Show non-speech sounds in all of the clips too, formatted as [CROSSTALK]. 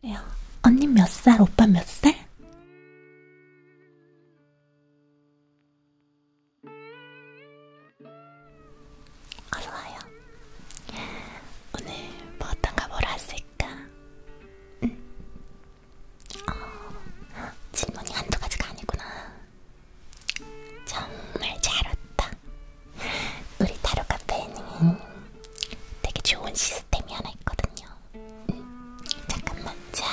그래요. 언니 몇 살, 오빠 몇 살? 어서와요. 아, 오늘 뭐 어떤가 뭘 했을까? 응. 어, 질문이 한두 가지가 아니구나. 정말 잘 왔다. 우리 타로 카페에는 되게 좋은 시스템이 하나 있거든요. 음, 잠깐만, 자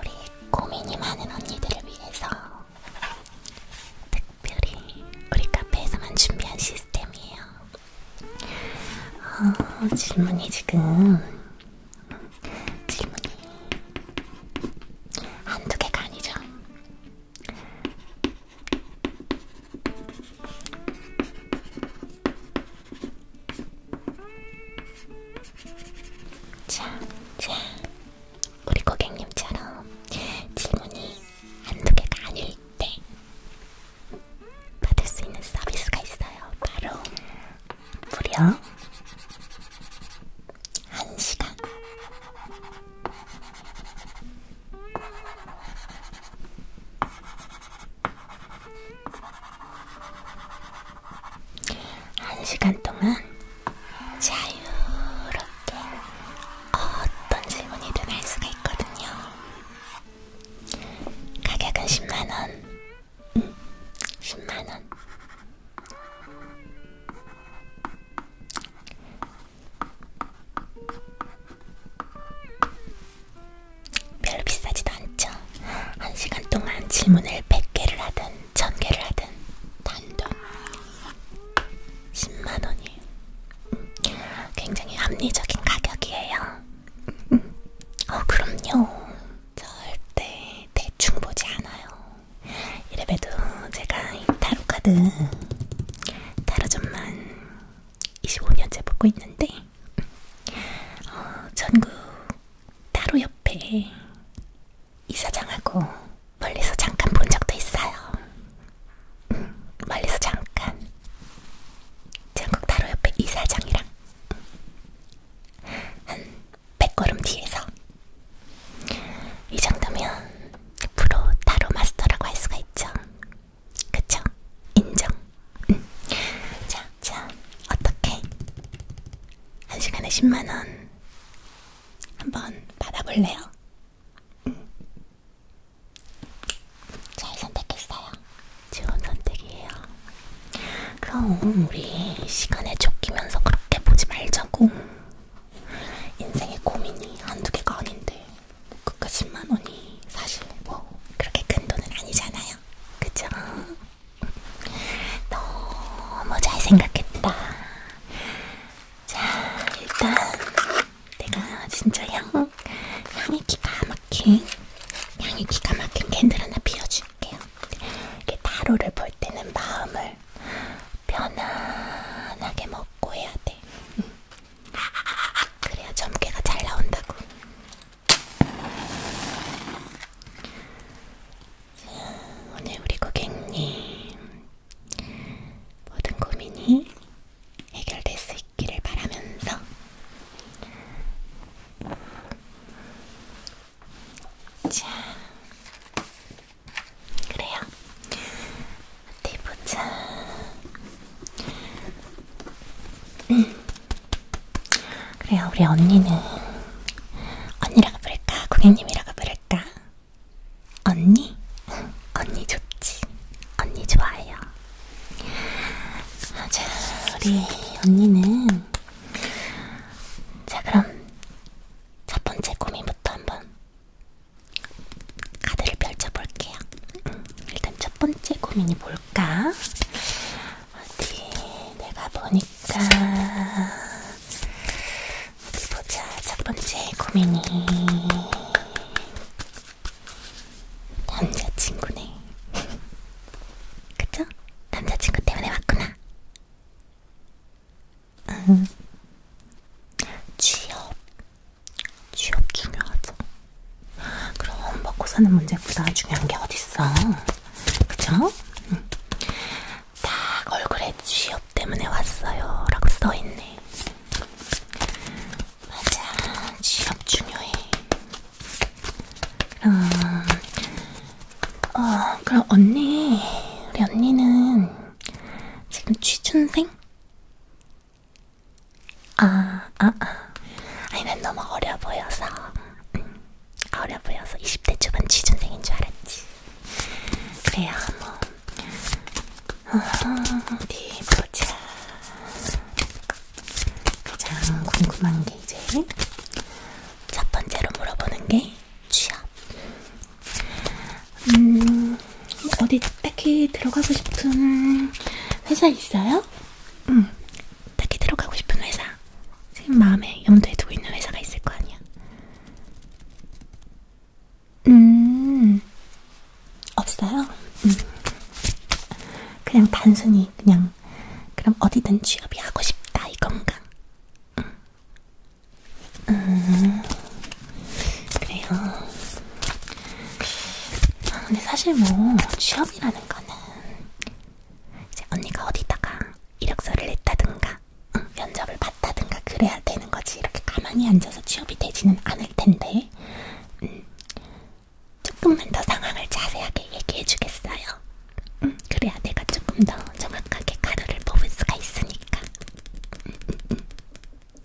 우리 고민이 많은 언니들을 위해서 특별히 우리 카페에서만 준비한 시스템이에요. 어, 질문이 지금 질문이 한두 개가 아니죠. 자, 자, 우리 고객님처럼 질문이 한두 개가 아닐 때 받을 수 있는 서비스가 있어요. 바로 무려 1시간. 한 시간 동안 자유롭게 어떤 질문이든 할 수가 있거든요. 가격은 10만원. 응, 10만원. 별로 비싸지도 않죠. 한 시간 동안 질문을 100개를 하든 1000개를 하든 단돈 10만 원이에요. 굉장히 합리적인 가격이에요. 어, 그럼요. 절대 대충 보지 않아요. 이래봬도 제가 이 타로카드, 타로점만 25년째 보고 있는데, 어, 전국 따로 옆에 이사장하고 멀리서 잠깐 본 적도 있어요. 음, 멀리서 잠깐 전국 따로 옆에 이사장이랑 한 100걸음 뒤에서 이 정도면 프로 따로 마스터라고 할 수가 있죠. 그쵸? 인정. 응. 자, 자, 어떻게? 한 시간에 10만 원 한번 받아볼래요? 응. 잘 선택했어요. 좋은 선택이에요. 그럼 우리 시간에 쫓기면서 그렇게 보지 말자고. 인생의 고민이 한두 개가 아닌데. 그까 10만 원이 사실 뭐 그렇게 큰 돈은 아니잖아요. 그죠? 너무 잘 생각했다. 자, 일단 내가 진짜 향, 향이 기가 막힌, 향이 기가 막힌 캔들 하나 피워줄게요. 이게 타로를 볼 때는 마음을 편안하게 먹고 해야 돼. 응. 그래야 점괘가 잘 나온다고. 자, 오늘 우리 고객님 모든 고민이 해결될 수 있기를 바라면서 자 그래요 어디 보자 그래요, 우리 언니는 언니라고 부를까? 고객님이라고 부를까? 언니? 언니 좋지. 언니 좋아요. 아, 자, 우리 언니는 자, 그럼 첫 번째 고민부터 한번 카드를 펼쳐볼게요. 음. 일단 첫 번째 고민이 뭘까? 어디 내가 보니까 어디 보자. 첫 번째 고민이 남자친구네. [LAUGHS] 그쵸? 남자친구 때문에 왔구나. 응. 취업 취업 중요하죠. 그럼 먹고 사는 문제보다 중요한 게 어딨어. 그쵸? 응. 딱 얼굴에 취업 때문에 왔어요. 라고 써있네. 맞아. 취업 중요해. 그럼, 음, 어, 그럼 언니, 우리 언니는 지금 취준생? 아, 아, 아. 아니, 난 너무 어려 보여서. 음, 어려 보여서 20대 초반 취준생인 줄 알았지. 그래요, 뭐. 어디 아, 네, 보자. 가장 궁금한 게 이제 첫 번째로 물어보는 게 취업. 음, 어디 딱히 들어가고 싶은 회사 있어요? 응. 음, 딱히 들어가고 싶은 회사. 지금 마음에 염두에 두고 있는 회사가 있을 거 아니야. 음. 없어요? 음. 그냥 단순히 그냥 그럼 어디든 취업이 하고 싶다 이건가? 음. 음. 그래요. 아, 근데 사실 뭐 취업이라 하는 거는 이제 언니가 어디다가 이력서를 냈다든가 응, 면접을 봤다든가 그래야 되는 거지 이렇게 가만히 앉아서 취업이 되지는 않을 텐데 음, 조금만 더 상황을 자세하게 얘기해 주겠어요. 음, 그래야 내가 조금 더 정확하게 가루를 뽑을 수가 있으니까 음, 음, 음.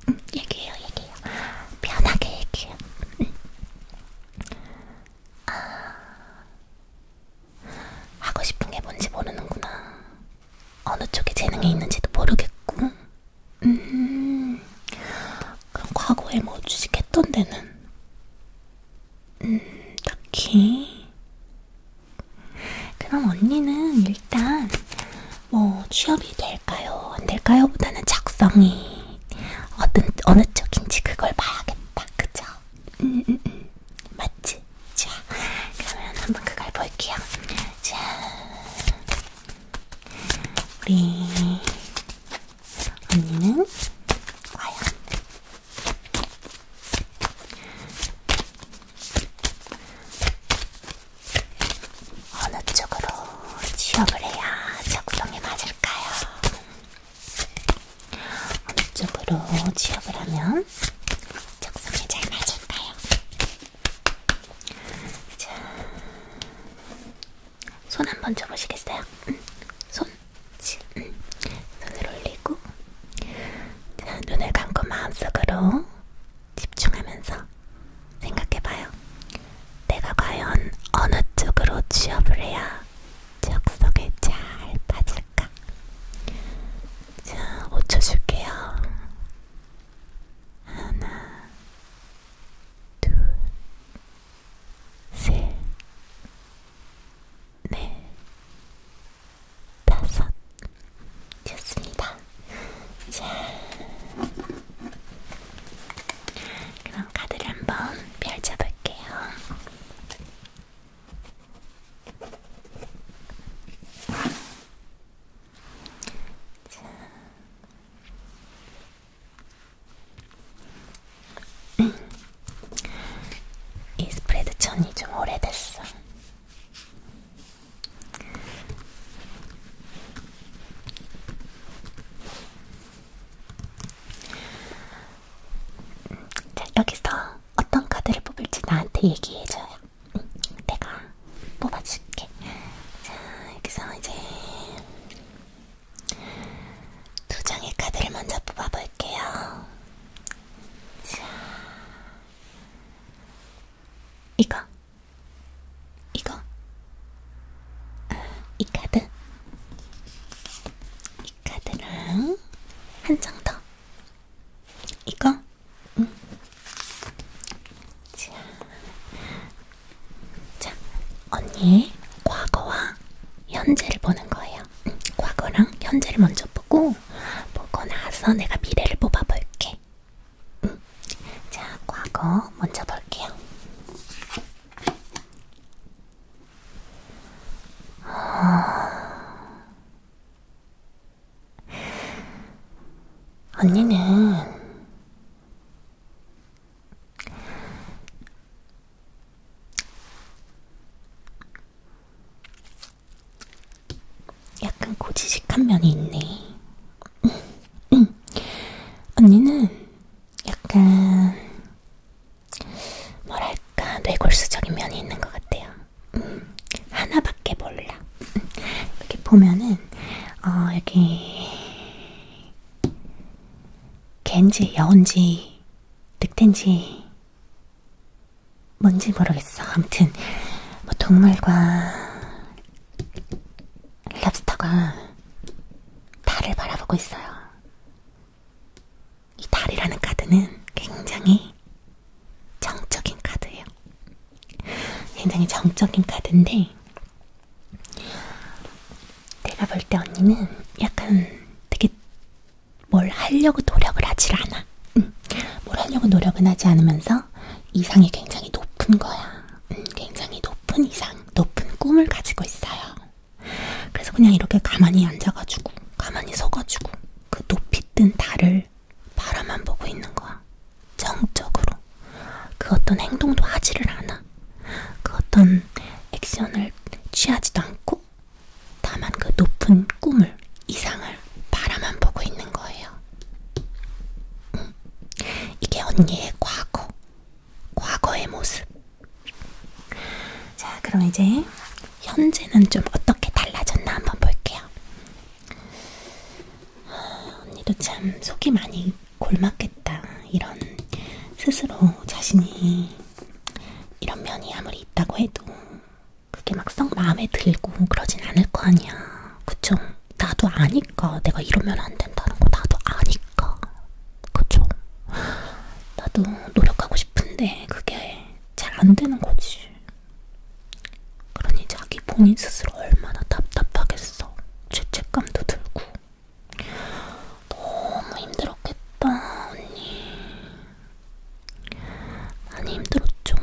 음, 얘기해요 얘기해요. 편하게 얘기해요. 음. 아, 하고 싶은 게 뭔지 모르는구나. 어느 쪽에 재능이 있는지도 모르겠고. 음, 그럼 과거에 뭐 주식했던 데는? 음, 딱히. 그럼 언니는 일단 뭐 취업이 될까요? 안 될까요? 보다는 작성이 어떤, 어느 쪽인지 그걸 봐야겠다. 그죠? 음, 음, 음. 맞지? 자, 그러면 한번 그걸 볼게요. 자, 우리 언니는 과연 어느 쪽으로 취업을 해야 적성에 맞을까요? 어느 쪽으로 취업을 하면 적성에 잘 맞을까요? 자, 손 한번 줘보시겠어요? 응. 음, 손, 응. 음, 손을 올리고 자, 눈을 감고 마음속으로 집중하면서 생각해봐요. 내가 과연 어느 쪽으로 취업을 해야 지역 속에 잘 빠질까? 자, 5초 줄게요. 하나, 둘, 셋, 넷, 다섯. 좋습니다. 자. 그럼 카드를 한번 펼쳐볼게요. 자. 음. 이 스프레드 천이 좀 오래됐어. 자, 여기서 어떤 카드를 뽑을지 나한테 얘기해줘요. 응, 내가 뽑아줄게. 자, 여기서 이제 두 장의 카드를 먼저 뽑아볼게요. 자, 이거 이거 아, 이 카드 이 카드랑 한 장더 이거 응. 자, 자 언니의 과거와 현재를 보는 거예요. 응. 과거랑 현재를 먼저 보고 보고 나서 내가 미래를 뽑아볼게. 응. 자, 과거 먼저 볼게요. [SIGHS] 언니는 약간 고지식한 면이 있네. [LAUGHS] 언니는 약간 뭐랄까 뇌골수적인 면이 있는 것 같아요. 음, 하나밖에 몰라. 이렇게 보면은 어, 여기 갠지 여운지 늑대인지 뭔지 모르겠어. 아무튼 뭐 동물과 랍스터가 달을 바라보고 있어요. 이 달이라는 카드는 굉장히 정적인 카드예요. 굉장히 정적인 카드인데 내가 볼 때 언니는 약간 되게 뭘 하려고 노력을 하질 않아. 응. 뭘 하려고 노력은 하지 않으면서 이상이 굉장히 높은 거야. 음, 굉장히 높은 이상, 높은 꿈을 가지고 있어요. 그래서 그냥 이렇게 가만히 앉아가지고, 가만히 서가지고, 그 높이 뜬 달을 바라만 보고 있는 거야. 정적으로. 그 어떤 행동도 하지를 않아. 그 어떤 액션을 취하지도 않고, 다만 그 높은 꿈을, 이상을 바라만 보고 있는 거예요. 음. 이게 언니의 과거, 과거의 모습. 자, 그럼 이제 현재는 좀 어떻게 달라졌나 한번 볼게요. 아, 언니도 참 속이 많이 골맞겠다. 이런 스스로 자신이 이런 면이 아무리 있다고 해도 그게 막상 마음에 들고 그러진 않을 거 아니야. 그쵸? 나도 아니까 내가 이러면 안 된다는 거 나도 아니까. 않을까? 그러니까. 그쵸? 나도 노력하고 싶은데 그게 잘 안 되는 거지. 그러니 자기 본인 스스로 얼마나 답답하겠어. 죄책감도 들고. 너무 힘들었겠다, 언니. 많이 힘들었죠.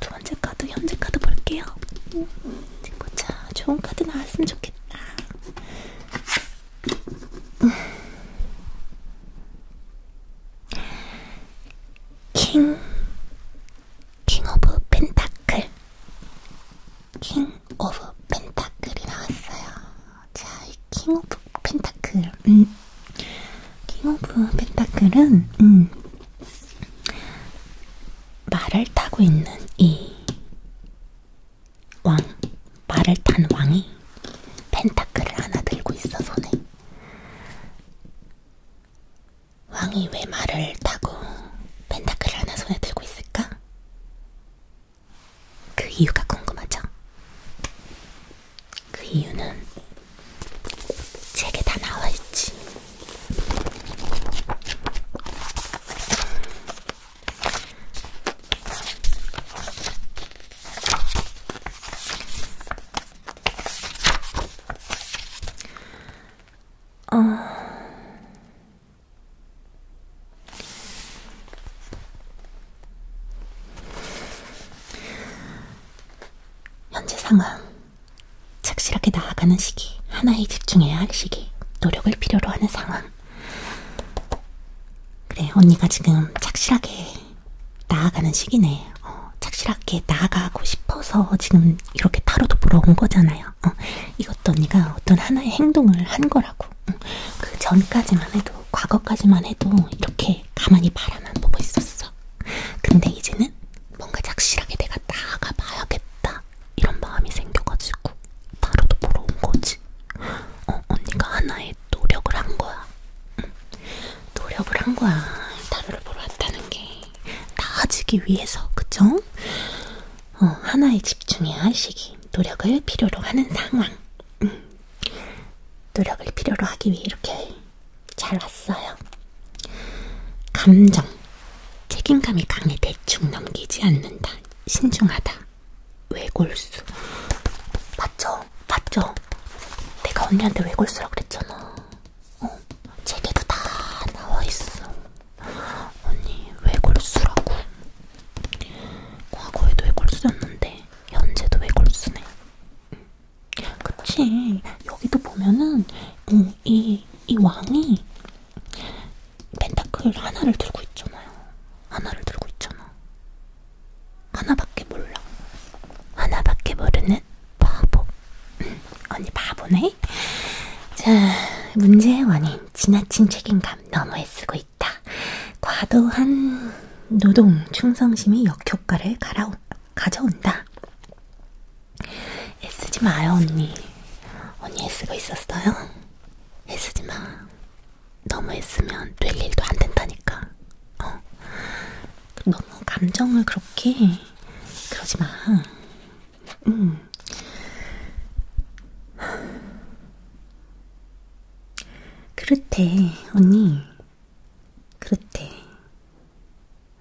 두 번째 카드, 현재 카드 볼게요. 보자, 좋은 카드 나왔으면 좋겠다. 좋겠다. 킹, 킹 오브 펜타클. 킹 오브 펜타클이 나왔어요. 자, 킹 오브 펜타클. 음. 킹 오브 펜타클은, 음. 말을 타고 있는 이 왕, 말을 탄 왕이 펜타클을 하나 들고 있어 손에. 왕이 왜 말을 타고 펜타클을 하나 손에 들고 있을까? 그 이유가 궁금하죠? 그 이유는 책에 다 나와 있지. 어... 현재 상황, 착실하게 나아가는 시기, 하나에 집중해야 할 시기, 노력을 필요로 하는 상황, 그래, 언니가 지금 착실하게 나아가는 시기네. 어, 착실하게 나아가고 싶어서 지금 이렇게 타로도 보러 온 거잖아요. 어, 이것도 언니가 어떤 하나의 행동을 한 거라고. 어, 그 전까지만 해도, 과거까지만 해도 이렇게 가만히 바라만 보고 있었어. 근데 이제는 뭔가 착실하게 내가 나아가 봐야겠다. 이런 마음이 생겨가지고 바로도 보러 온 거지. 어, 언니가 하나의 노력을 한 거야. 응. 노력을 한 거야. 타로를 보러 왔다는 게. 나아지기 위해서, 그쵸? 어, 하나에 집중해야 할 시기. 노력을 필요로 하는 상황. 응. 노력을 필요로 하기 위해 이렇게 잘 왔어요. 감정. 책임감이 강해 대충 넘기지 않는다. 신중하다. 외골수. 맞죠? 맞죠? 내가 언니한테 외골수라고 그랬잖아. 어? 책에도 다 나와있어. 언니, 외골수라고. 과거에도 외골수였는데, 현재도 외골수네. 그치. 여기도 보면은, 어, 이, 이 왕이 펜타클 하나를 들고 있잖아요. 하나를 들고 있잖아. 하나밖에 몰라. 하나밖에 모르는 바보. [LAUGHS] 언니 바보네? 자, 문제의 원인. 지나친 책임감. 너무 애쓰고 있다. 과도한 노동, 충성심이 역효과를 가라오, 가져온다. 애쓰지 마요, 언니. 언니 애쓰고 있었어요? 애쓰지 마. 너무 애쓰면 될 일도 안 된다니까. 어. 너무 감정을 그렇게 그러지 마. 음. 그렇대, 언니. 그렇대.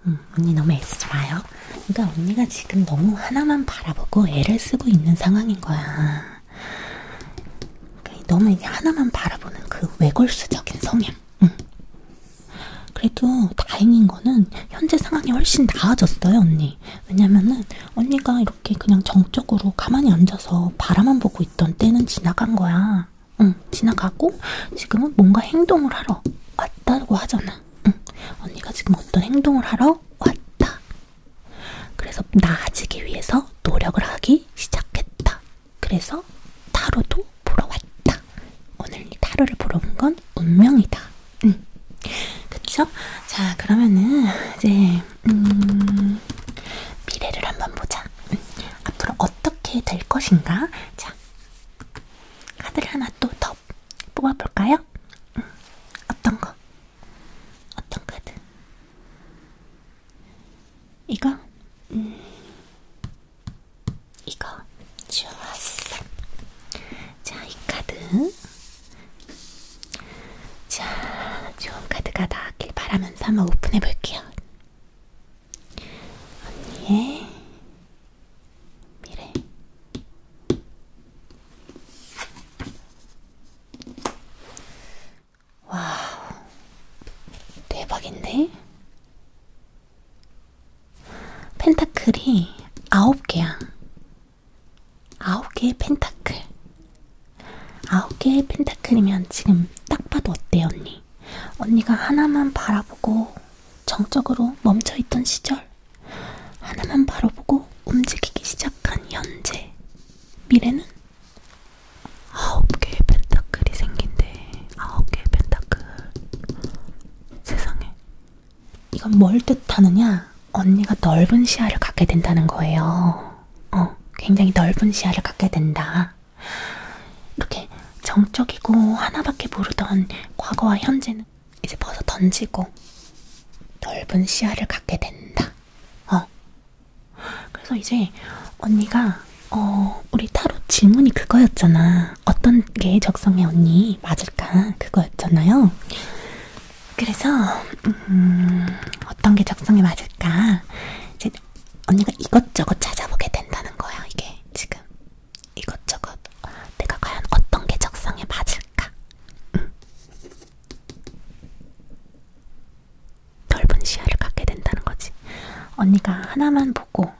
응, 음, 언니 너무 애쓰지 마요. 그러니까 언니가 지금 너무 하나만 바라보고 애를 쓰고 있는 상황인 거야. 그러니까 너무 이게 하나만 바라보는 그 외골수적인 성향. 응. 그래도 다행인 거는 현재 상황이 훨씬 나아졌어요, 언니. 왜냐면은 언니가 이렇게 그냥 정적으로 가만히 앉아서 바라만 보고 있던 때는 지나간 거야. 응, 지나가고 지금은 뭔가 행동을 하러 왔다고 하잖아. 응, 언니가 지금 어떤 행동을 하러 왔다. 그래서 나아지기 위해서 노력을 하기 시작했다. 그래서 타로도 보러 왔다. 오늘 이 타로를 보러 온 건 운명이다. 응. 그쵸? 자, 그러면은 이제 음, 미래를 한번 보자. 응. 앞으로 어떻게 될 것인가? 자, 카드를 하나 또더 뽑아볼까요? 응. 어떤 거? 어떤 카드? 이거? 음. 이거? 좋았어. 자, 이 카드. 자, 좋은 카드가 나왔길 바라면서 한번 오픈해볼게요. 언니의 미래. 와, 대박인데? 펜타클이 아홉 개야. 아홉 개의 펜타클. 아홉 개의 펜타클이면 지금 딱 봐도 어때, 언니? 언니가 하나만 바라보고 정적으로 멈춰있던 시절 하나만 바라보고 움직이기 시작한 현재, 미래는 아홉 개의 펜타클이 생긴대. 아홉 개의 펜타클. 세상에. 이건 뭘 뜻하느냐? 언니가 넓은 시야를 갖게 된다는 거예요. 어, 굉장히 넓은 시야를 갖게 된다. 이렇게 정적이고 하나밖에 모르던 과거와 현재는 되면 이제 벗어 던지고 넓은 시야를 갖게 된다. 어. 그래서 이제 언니가 어 우리 타로 질문이 그거였잖아. 어떤 게 적성에 언니 맞을까 그거였잖아요. 그래서 음, 어떤 게 적성에 맞을까 이제 언니가 이것저것 찾아보게 된다는 거야. 이게 지금 이것저것 내가 과연 어떤 게 적성에 맞을까. 음. 넓은 시야를 갖게 된다는 거지. 언니가 하나만 보고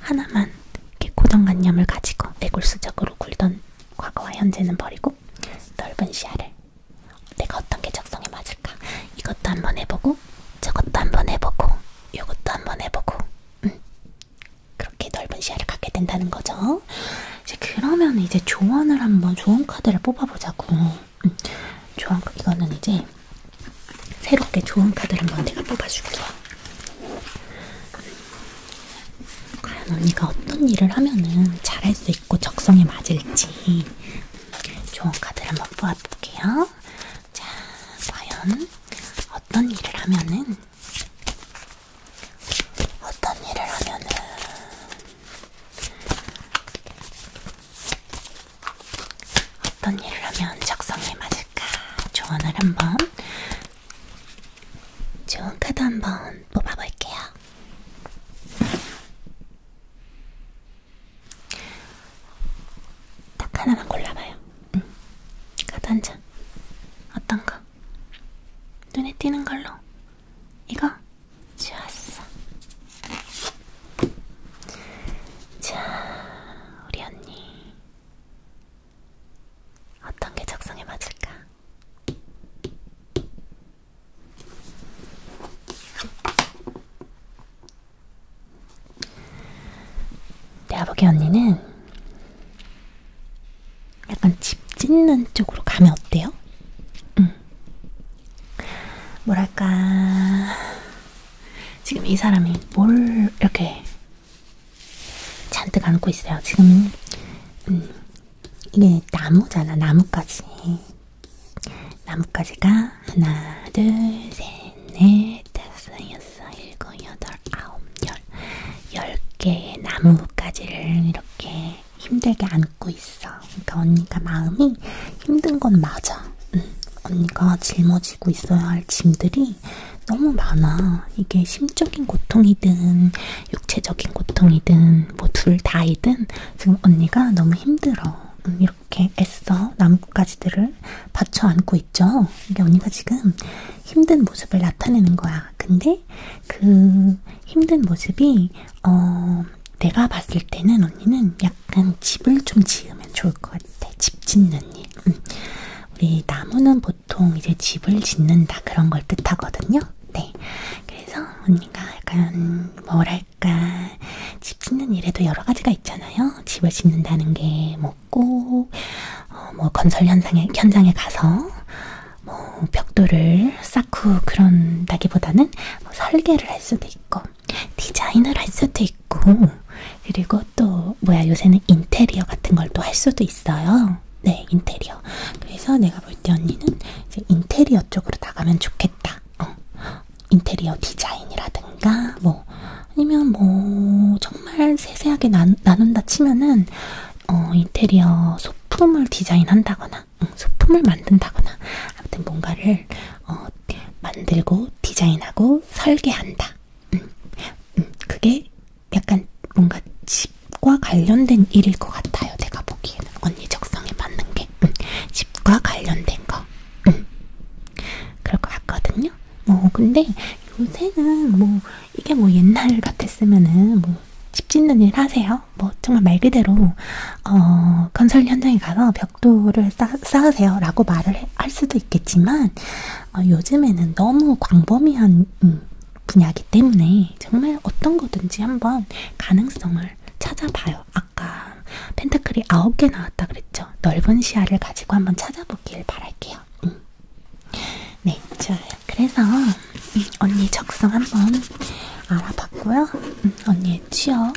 하나만 이렇게 고정관념을 가지고 내골수적으로 굴던 과거와 현재는 버리고 넓은 시야를 내가 어떤 게 적성에 맞을까 이것도 한번 해보고 저것도 한번 해보고 이것도 한번 해보고 응. 그렇게 넓은 시야를 갖게 된다는 거죠. 이제 그러면 이제 조언을 한번 조언 카드를 뽑아보자고. 음, 조언 이거는 이제 새롭게 조언 카드를 한번 내가 뽑아줄게요. 과연 언니가 어떤 일을 하면은 잘할 수 있고 적성에 맞을지 조언 카드를 한번 뽑아볼게요. 자, 과연 어떤 일을 하면은 어떤 일을 하면은 어떤 일을 하면 적성에 맞을까 조언을 한번 좋은 카드 한 번 뽑아볼게요. 딱 하나만 골라봐요. 응. 카드 한 장. 어떤 거? 눈에 띄는 걸로. 이거 좋았어. 자, 우리 언니 어떤 게 적성에 맞을까? 내가 보기 언니는 약간 집 짓는 쪽으로 가면 어때요? 음. 뭐랄까 지금 이 사람이 뭘 이렇게 잔뜩 안고 있어요. 지금 음, 이게 나무잖아. 나뭇가지. 나뭇가지가 하나, 둘, 셋, 넷, 다섯, 여섯, 일곱, 여덟, 아홉, 열, 열 개의 나뭇가지를 이렇게 힘들게 안고 있어. 그러니까 언니가 마음이 힘든 건 맞아. 응. 언니가 짊어지고 있어야 할 짐들이 너무 많아. 이게 심적인 고통이든 육체적인 고통이든 뭐 둘 다이든 지금 언니가 너무 힘들어. 응. 이렇게 애써 나뭇가지들을 받쳐 안고 있죠. 이게 언니가 지금 힘든 모습을 나타내는 거야. 근데 그 힘든 모습이 어 내가 봤을 때는 언니는 약간 집을 좀 지으면 좋을 것 같아. 집 짓는 일. 음. 우리 나무는 보통 이제 집을 짓는다 그런 걸 뜻하거든요. 네. 그래서 언니가 약간 뭐랄까 집 짓는 일에도 여러 가지가 있잖아요. 집을 짓는다는 게 뭐 꼭, 어, 뭐 건설 현장에, 현장에 가서 뭐 벽돌을 쌓고 그런다기보다는 뭐 설계를 할 수도 있고 디자인을 할 수도 있고 그리고 또 뭐야 요새는 인테리어 같은 걸 또 할 수도 있어요. 네 인테리어. 그래서 내가 볼 때 언니는 이제 인테리어 쪽으로 나가면 좋겠다. 어. 인테리어 디자인이라든가 뭐 아니면 뭐 정말 세세하게 나, 나눈다 치면은 어, 인테리어 소품을 디자인한다거나 응, 소품을 만든다거나 아무튼 뭔가를 어, 만들고 디자인하고 설계한다. 응, 응, 그게 약간 뭔가 집과 관련된 일일 것 같아요. 제가 보기에는 언니 적성에 맞는 게 응, 집과 관련된 거 응, 그럴 것 같거든요. 뭐 근데 요새는 뭐 이게 뭐 옛날 같았으면은 뭐집 짓는 일 하세요. 있어요. 뭐 정말 말 그대로 어, 건설 현장에 가서 벽돌을 쌓, 쌓으세요라고 말을 해, 할 수도 있겠지만 어, 요즘에는 너무 광범위한 음, 분야기 때문에 정말 어떤 거든지 한번 가능성을 찾아봐요. 아까 펜타클이 9개 나왔다 그랬죠. 넓은 시야를 가지고 한번 찾아보길 바랄게요. 음. 네, 자 그래서 음, 언니 적성 한번 알아봤고요. 음, 언니의 취업,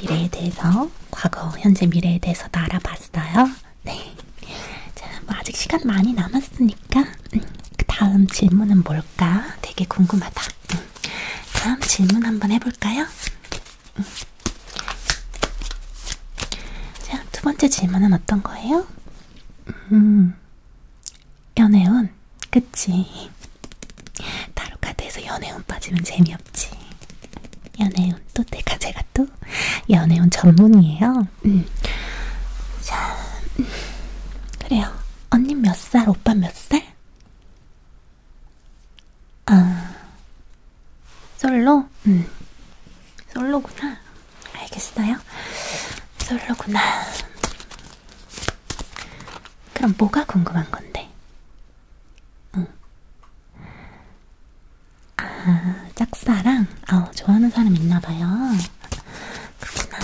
미래에 대해서, 과거, 현재, 미래에 대해서 다 알아봤어요. 네. 자, 뭐 아직 시간 많이 남았으니까 음, 그 다음 질문은 뭘까? 되게 궁금하다. 다음 질문 한번 해볼까요? 자, 두 번째 질문은 어떤 거예요? 음, 연애운? 그치. 타로카드에서 연애운 빠지면 재미없지. 연애운 또 내가 제가 또 연애운 전문이에요. 음. 자, 음. 그래요. 언니 몇 살, 오빠 몇 살? 아, 솔로? 음, 솔로구나. 알겠어요. 솔로구나. 그럼 뭐가 궁금한 건데? 응. 아, 짝사랑? 아, 좋아하는 사람 있나 봐요. 그렇구나.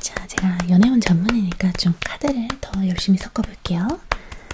자, 제가 연애운 전문이니까 좀 카드를 더 열심히 섞어볼게요.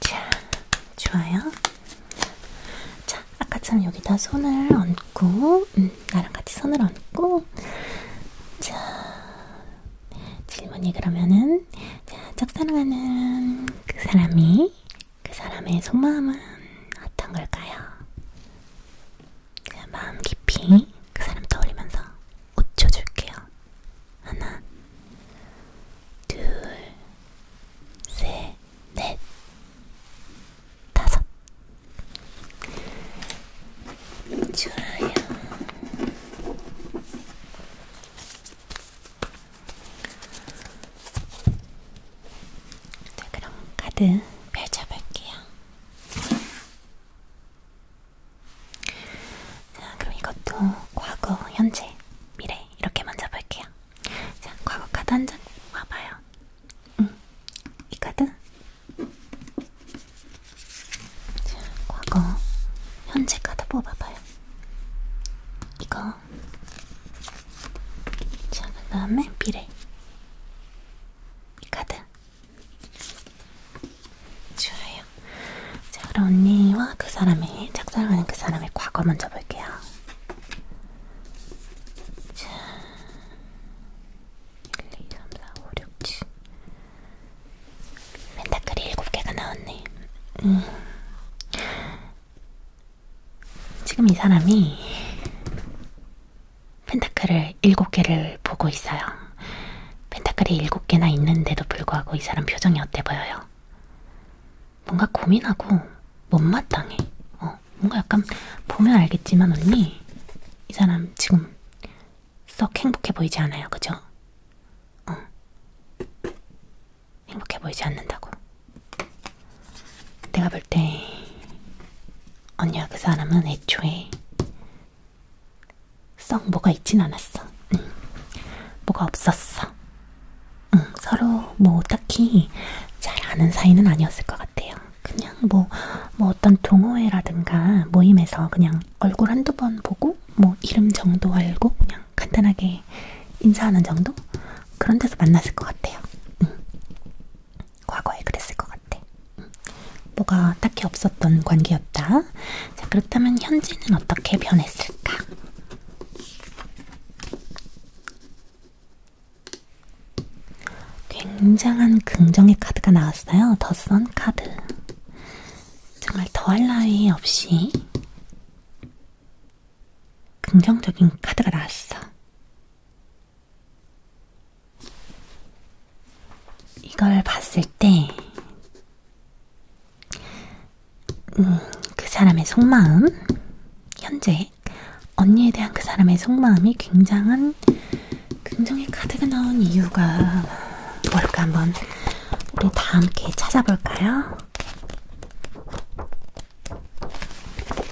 자, 좋아요. 자, 아까처럼 여기다 손을 얹고, 음, 나랑 같이 손을 얹고, 자, 질문이 그러면은, 자, 짝사랑하는 그 사람이, 그 사람의 속마음은 어떤 걸까요? 자, 마음 깊이 그 사람 떠올리면서 5초 줄게요. 하나, 둘, 셋, 넷, 다섯. 좋아요. 자, 그럼 카드 펼쳐볼게요. 자, 그럼 이것도 과거, 현재, 미래 이렇게 만져볼게요. 자, 과거 카드 한장 와봐요. 음, 이 카드. 자, 과거, 현재 카드 뽑아봐요. 이거. 자, 그 다음에 미래. 이 카드. 좋아요. 자, 그럼 언니와 그 사람의, 작성하는 그 사람의 과거 먼저 볼게요. 자, 1, 2, 3, 4, 5, 6, 7. 펜타클이 7개가 나왔네. 음. 지금 이 사람이 펜타클을 7개를 보고 있어요. 펜타클이 7개나 있는데도 불구하고 이 사람 표정이 어때 보여요? 뭔가 고민하고 못마땅해. 어, 뭔가 약간 보면 알겠지만 언니, 이 사람 지금 썩 행복해 보이지 않아요, 그죠? 어, 행복해 보이지 않는다고. 내가 볼 때 언니와 그 사람은 애초에 썩 뭐가 있진 않았어. 응. 뭐가 없었어. 응, 서로 뭐 딱히 잘 아는 사이는 아니었을 것 같아요. 그냥 뭐, 뭐 어떤 동호회라든가 모임에서 그냥 얼굴 한두 번 보고 뭐 이름 정도 알고 그냥 간단하게 인사하는 정도? 그런 데서 만났을 것 같아요. 응. 과거에 그랬을 것 같아. 응. 뭐가 딱히 없었던 관계였다. 자, 그렇다면 현재는 어떻게 변했을까? 굉장한 긍정의 카드가 나왔어요. 더선 카드. 정말 더할 나위 없이 긍정적인 카드가 나왔어. 이걸 봤을 때 음, 그 사람의 속마음, 현재 언니에 대한 그 사람의 속마음이 굉장한 긍정의 카드가 나온 이유가 뭘까 한번 우리 다 함께 찾아볼까요?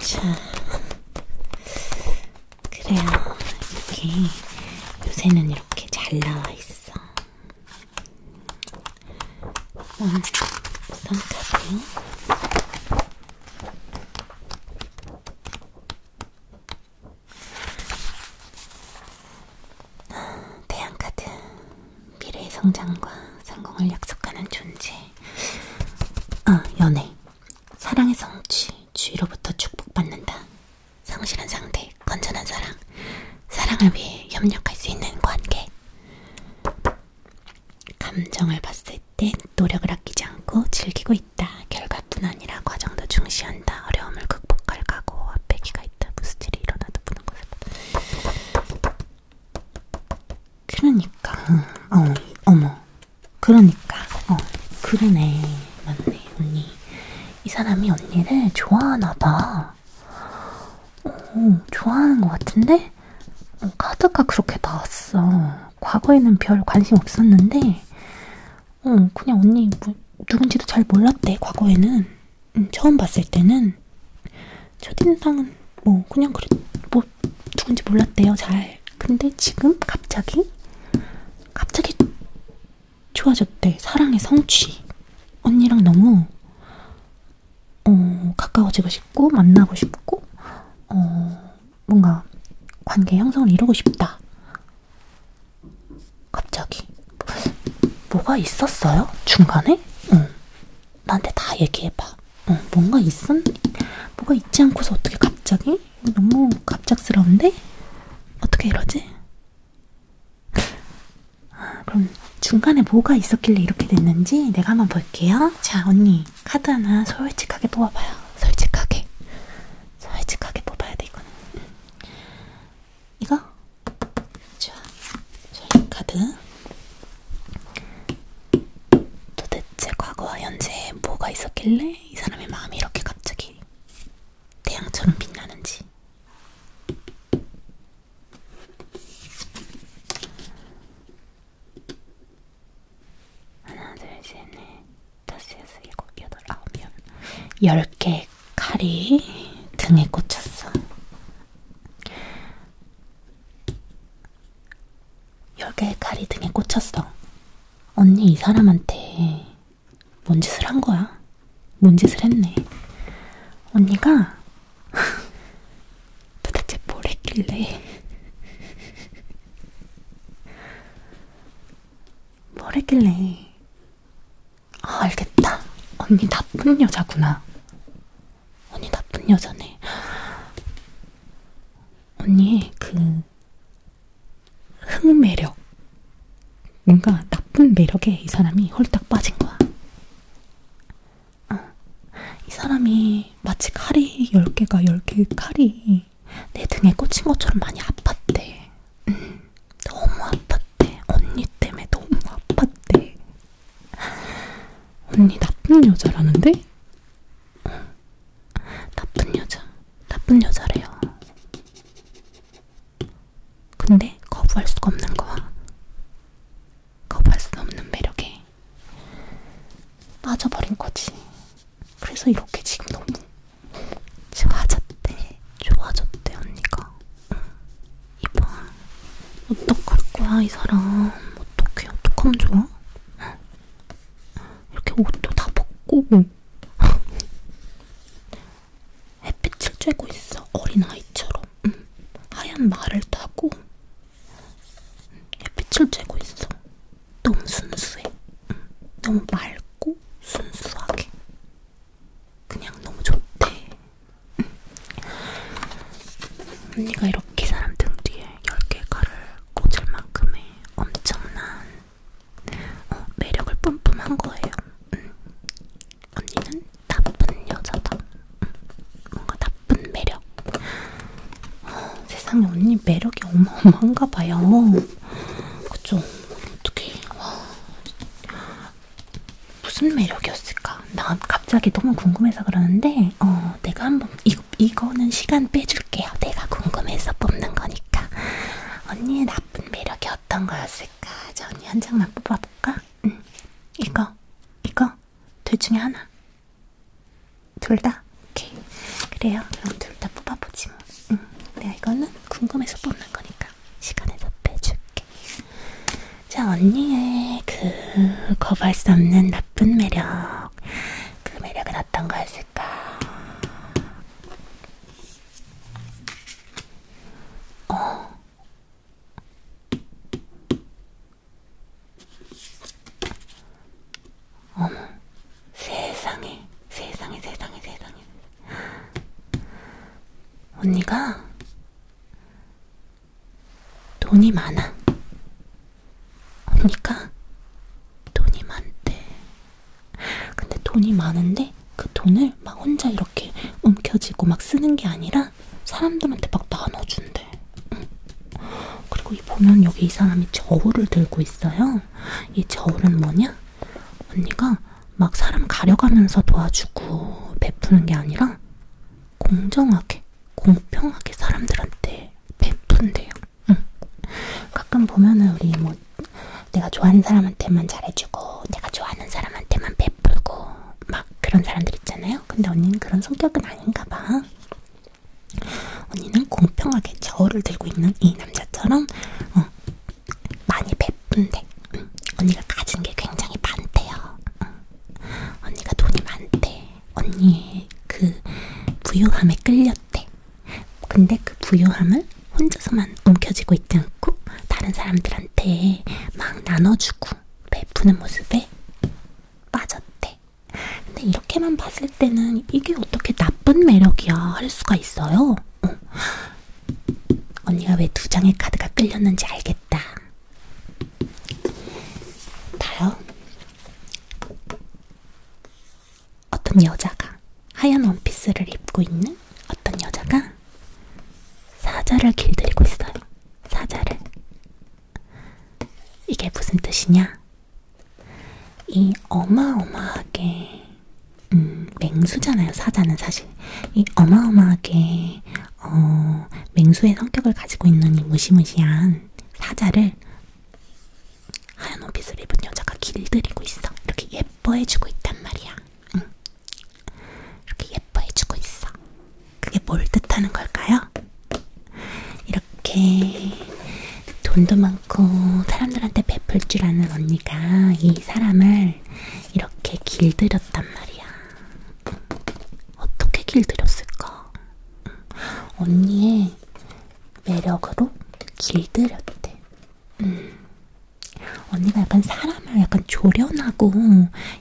자, 그래요. 이렇게 요새는 이렇게 잘 나와 있어. 음, 우선 우선 가세요. 태양카드 미래의 성장과 성공을 약속하는 존재 아 연애 사랑의 성취 주위로부터 축복받는다 성실한 상대, 건전한 사랑, 사랑을 위해 협력할 수 있는 관계. 감정을 봤을 땐 노력을 아끼지 않고 즐기고 있다. 결과뿐 아니라 과정도 중시한다. 어려움을 극복할 각오, 앞배기가 있다. 무스질이 일어나도 보는 것보다. 그러니까, 어, 어머, 그러니까, 어, 그러네, 맞네, 언니. 이 사람이 언니를 좋아하나 봐. 오, 좋아하는 것 같은데? 어, 카드가 그렇게 나왔어. 과거에는 별 관심 없었는데, 어, 그냥 언니 뭐, 누군지도 잘 몰랐대, 과거에는. 음, 처음 봤을 때는. 첫인상은 뭐, 그냥 그랬, 뭐, 누군지 몰랐대요, 잘. 근데 지금 갑자기, 갑자기 좋아졌대. 사랑의 성취. 언니랑 너무 어, 가까워지고 싶고 만나고 싶고 어, 뭔가 관계 형성을 이루고 싶다. 갑자기 뭐가 있었어요? 중간에? 응. 나한테 다 얘기해봐. 응. 뭔가 있은? 뭐가 있지 않고서 어떻게 갑자기? 너무 갑작스러운데? 어떻게 이러지? 아, 그럼 중간에 뭐가 있었길래 이렇게 됐는지 내가 한번 볼게요. 자, 언니 카드 하나 솔직하게 뽑아봐요. 솔직하게, 솔직하게 뽑아야 돼 이거는. 이거? 좋아. 솔직 카드. 도대체 과거와 현재에 뭐가 있었길래 이 사람의 마음이 이렇게 갑자기 태양처럼 빛나는지 하나, 둘, 셋, 넷, 다섯, 여섯, 일곱, 여덟, 아홉, 열. 열 개의 칼이 등에 꽂혔어. 열 개의 칼이 등에 꽂혔어. 언니, 이 사람한테 뭔 짓을 한 거야? 뭔 짓을 했네. 언니가 [LAUGHS] 도대체 뭘 했길래 뭘 했길래 아 알겠다. 언니 나쁜 여자구나. 언니 나쁜 여자네. [GASPS] 언니 그 흥매력. 뭔가 나쁜 매력에 이 사람이 홀딱 빠진 거야. 어. 이 사람이 마치 칼이 10개가 10개 칼이 내 등에 꽂힌 것처럼 많이 아팠대. 응. 너무 아팠대. 언니 때문에 너무 아팠대. 언니 나쁜 여자라는데? 응. 나쁜 여자. 나쁜 여자래요. 근데 거부할 수가 없는 거야. 거부할 수 없는 매력에 빠져버린 거지. 그래서 이렇게 지금 너무 좋아졌대. 좋아졌대 언니가. 응. 이봐. 어떡할 거야 이 사람. 어떡해. 어떡하면 좋아? 응. 이렇게 옷도 다 벗고 햇빛을 쬐고 있어. 어린아이처럼. 응. 하얀 말을 타고 햇빛을 쬐고 있어. 너무 순수해. 응. 너무 맑고 순수하게. 그냥 너무 좋대. 응. 언니가 이렇게 사람 등 뒤에 10개가를 꽂을 만큼의 엄청난 어, 매력을 뿜뿜한 거예요. 음. 언니는 나쁜 여자다. 음. 뭔가 나쁜 매력. 어, 세상에 언니 매력이 어마어마한가 봐요. 그쵸? 어떻게? 무슨 매력이었을까? 나 갑자기 너무 궁금해서 그러는데, 어, 내가 한번 이거 이거는 시간 빼줄게요. 내가 궁금해서 뽑는 거니까. 언니의 나쁜 매력이 어떤 거였을까? 색깔 언니 한 장만 뽑아볼까? 응. 이거, 이거, 둘 중에 하나. 둘 다? 오케이. 그래요. 그럼 둘 다 뽑아보지 뭐. 응. 내가 이거는 궁금해서 뽑는 거니까 시간을 더 빼줄게. 자, 언니의 그 거부할 수 없는 나쁜 매력. 그 매력은 어떤 거였을까? 어. 어머, 세상에, 세상에, 세상에, 세상에. 언니가 돈이 많아. 언니가 돈이 많대. 근데 돈이 많은데 그 돈을 막 혼자 이렇게 움켜쥐고 막 쓰는 게 아니라 사람들한테 막 나눠준대. 응. 그리고 이 보면 여기 이 사람이 저울을 들고 있어요. 이 저울은 뭐냐? 언니가 막 사람 가려가면서 도와주고 베푸는 게 아니라 공정하게, 공평하게 사람들한테 베푼대요. 응. 가끔 보면은 우리 뭐 내가 좋아하는 사람한테만 잘해주고 내가 좋아하는 사람한테만 베풀고 막 그런 사람들 있잖아요. 근데 언니는 그런 성격은 아닌가 봐. 언니는 공평하게 저울을 들고 있는 이 남자처럼 어, 많이 베푼데 응. 언니가 가진 게 굉장히 많대요. 응. 언니가 돈이 많대. 언니의 그 부유함에 끌렸대. 근데 그 부유함을 거는 혼자서만 움켜쥐고 있지 않고 다른 사람들한테 막 나눠주고 베푸는 모습에 빠졌대. 근데 이렇게만 봤을 때는 이게 어떻게 나쁜 매력이야 할 수가 있어요. 응. 어. 언니가 왜 두 장의 카드가 끌렸는지 알겠다. 다요. 어떤 여자가 하얀 원피스를 입고 있는 어떤 여자가 사자를 길들이고 있어요. 사자를. 이게 무슨 뜻이냐? 이 어마어마하게 음, 맹수잖아요. 사자는 사실 이 어마어마하게 어, 맹수의 성격을 가지고 있는 이 무시무시한 사자를 하얀 원피스를 입은 여자가 길들이고 있어. 이렇게 예뻐해주고 있단 말이야. 응. 이렇게 예뻐해주고 있어. 그게 뭘 뜻하는 걸까요? 이렇게 돈도 많고 사람들한테 베풀 줄 아는 언니가 이 사람을 이렇게 길들였단 말이야. 어떻게 길들였을까? 언니의 매력으로 길들였대. 음. 언니가 약간 사람을 약간 조련하고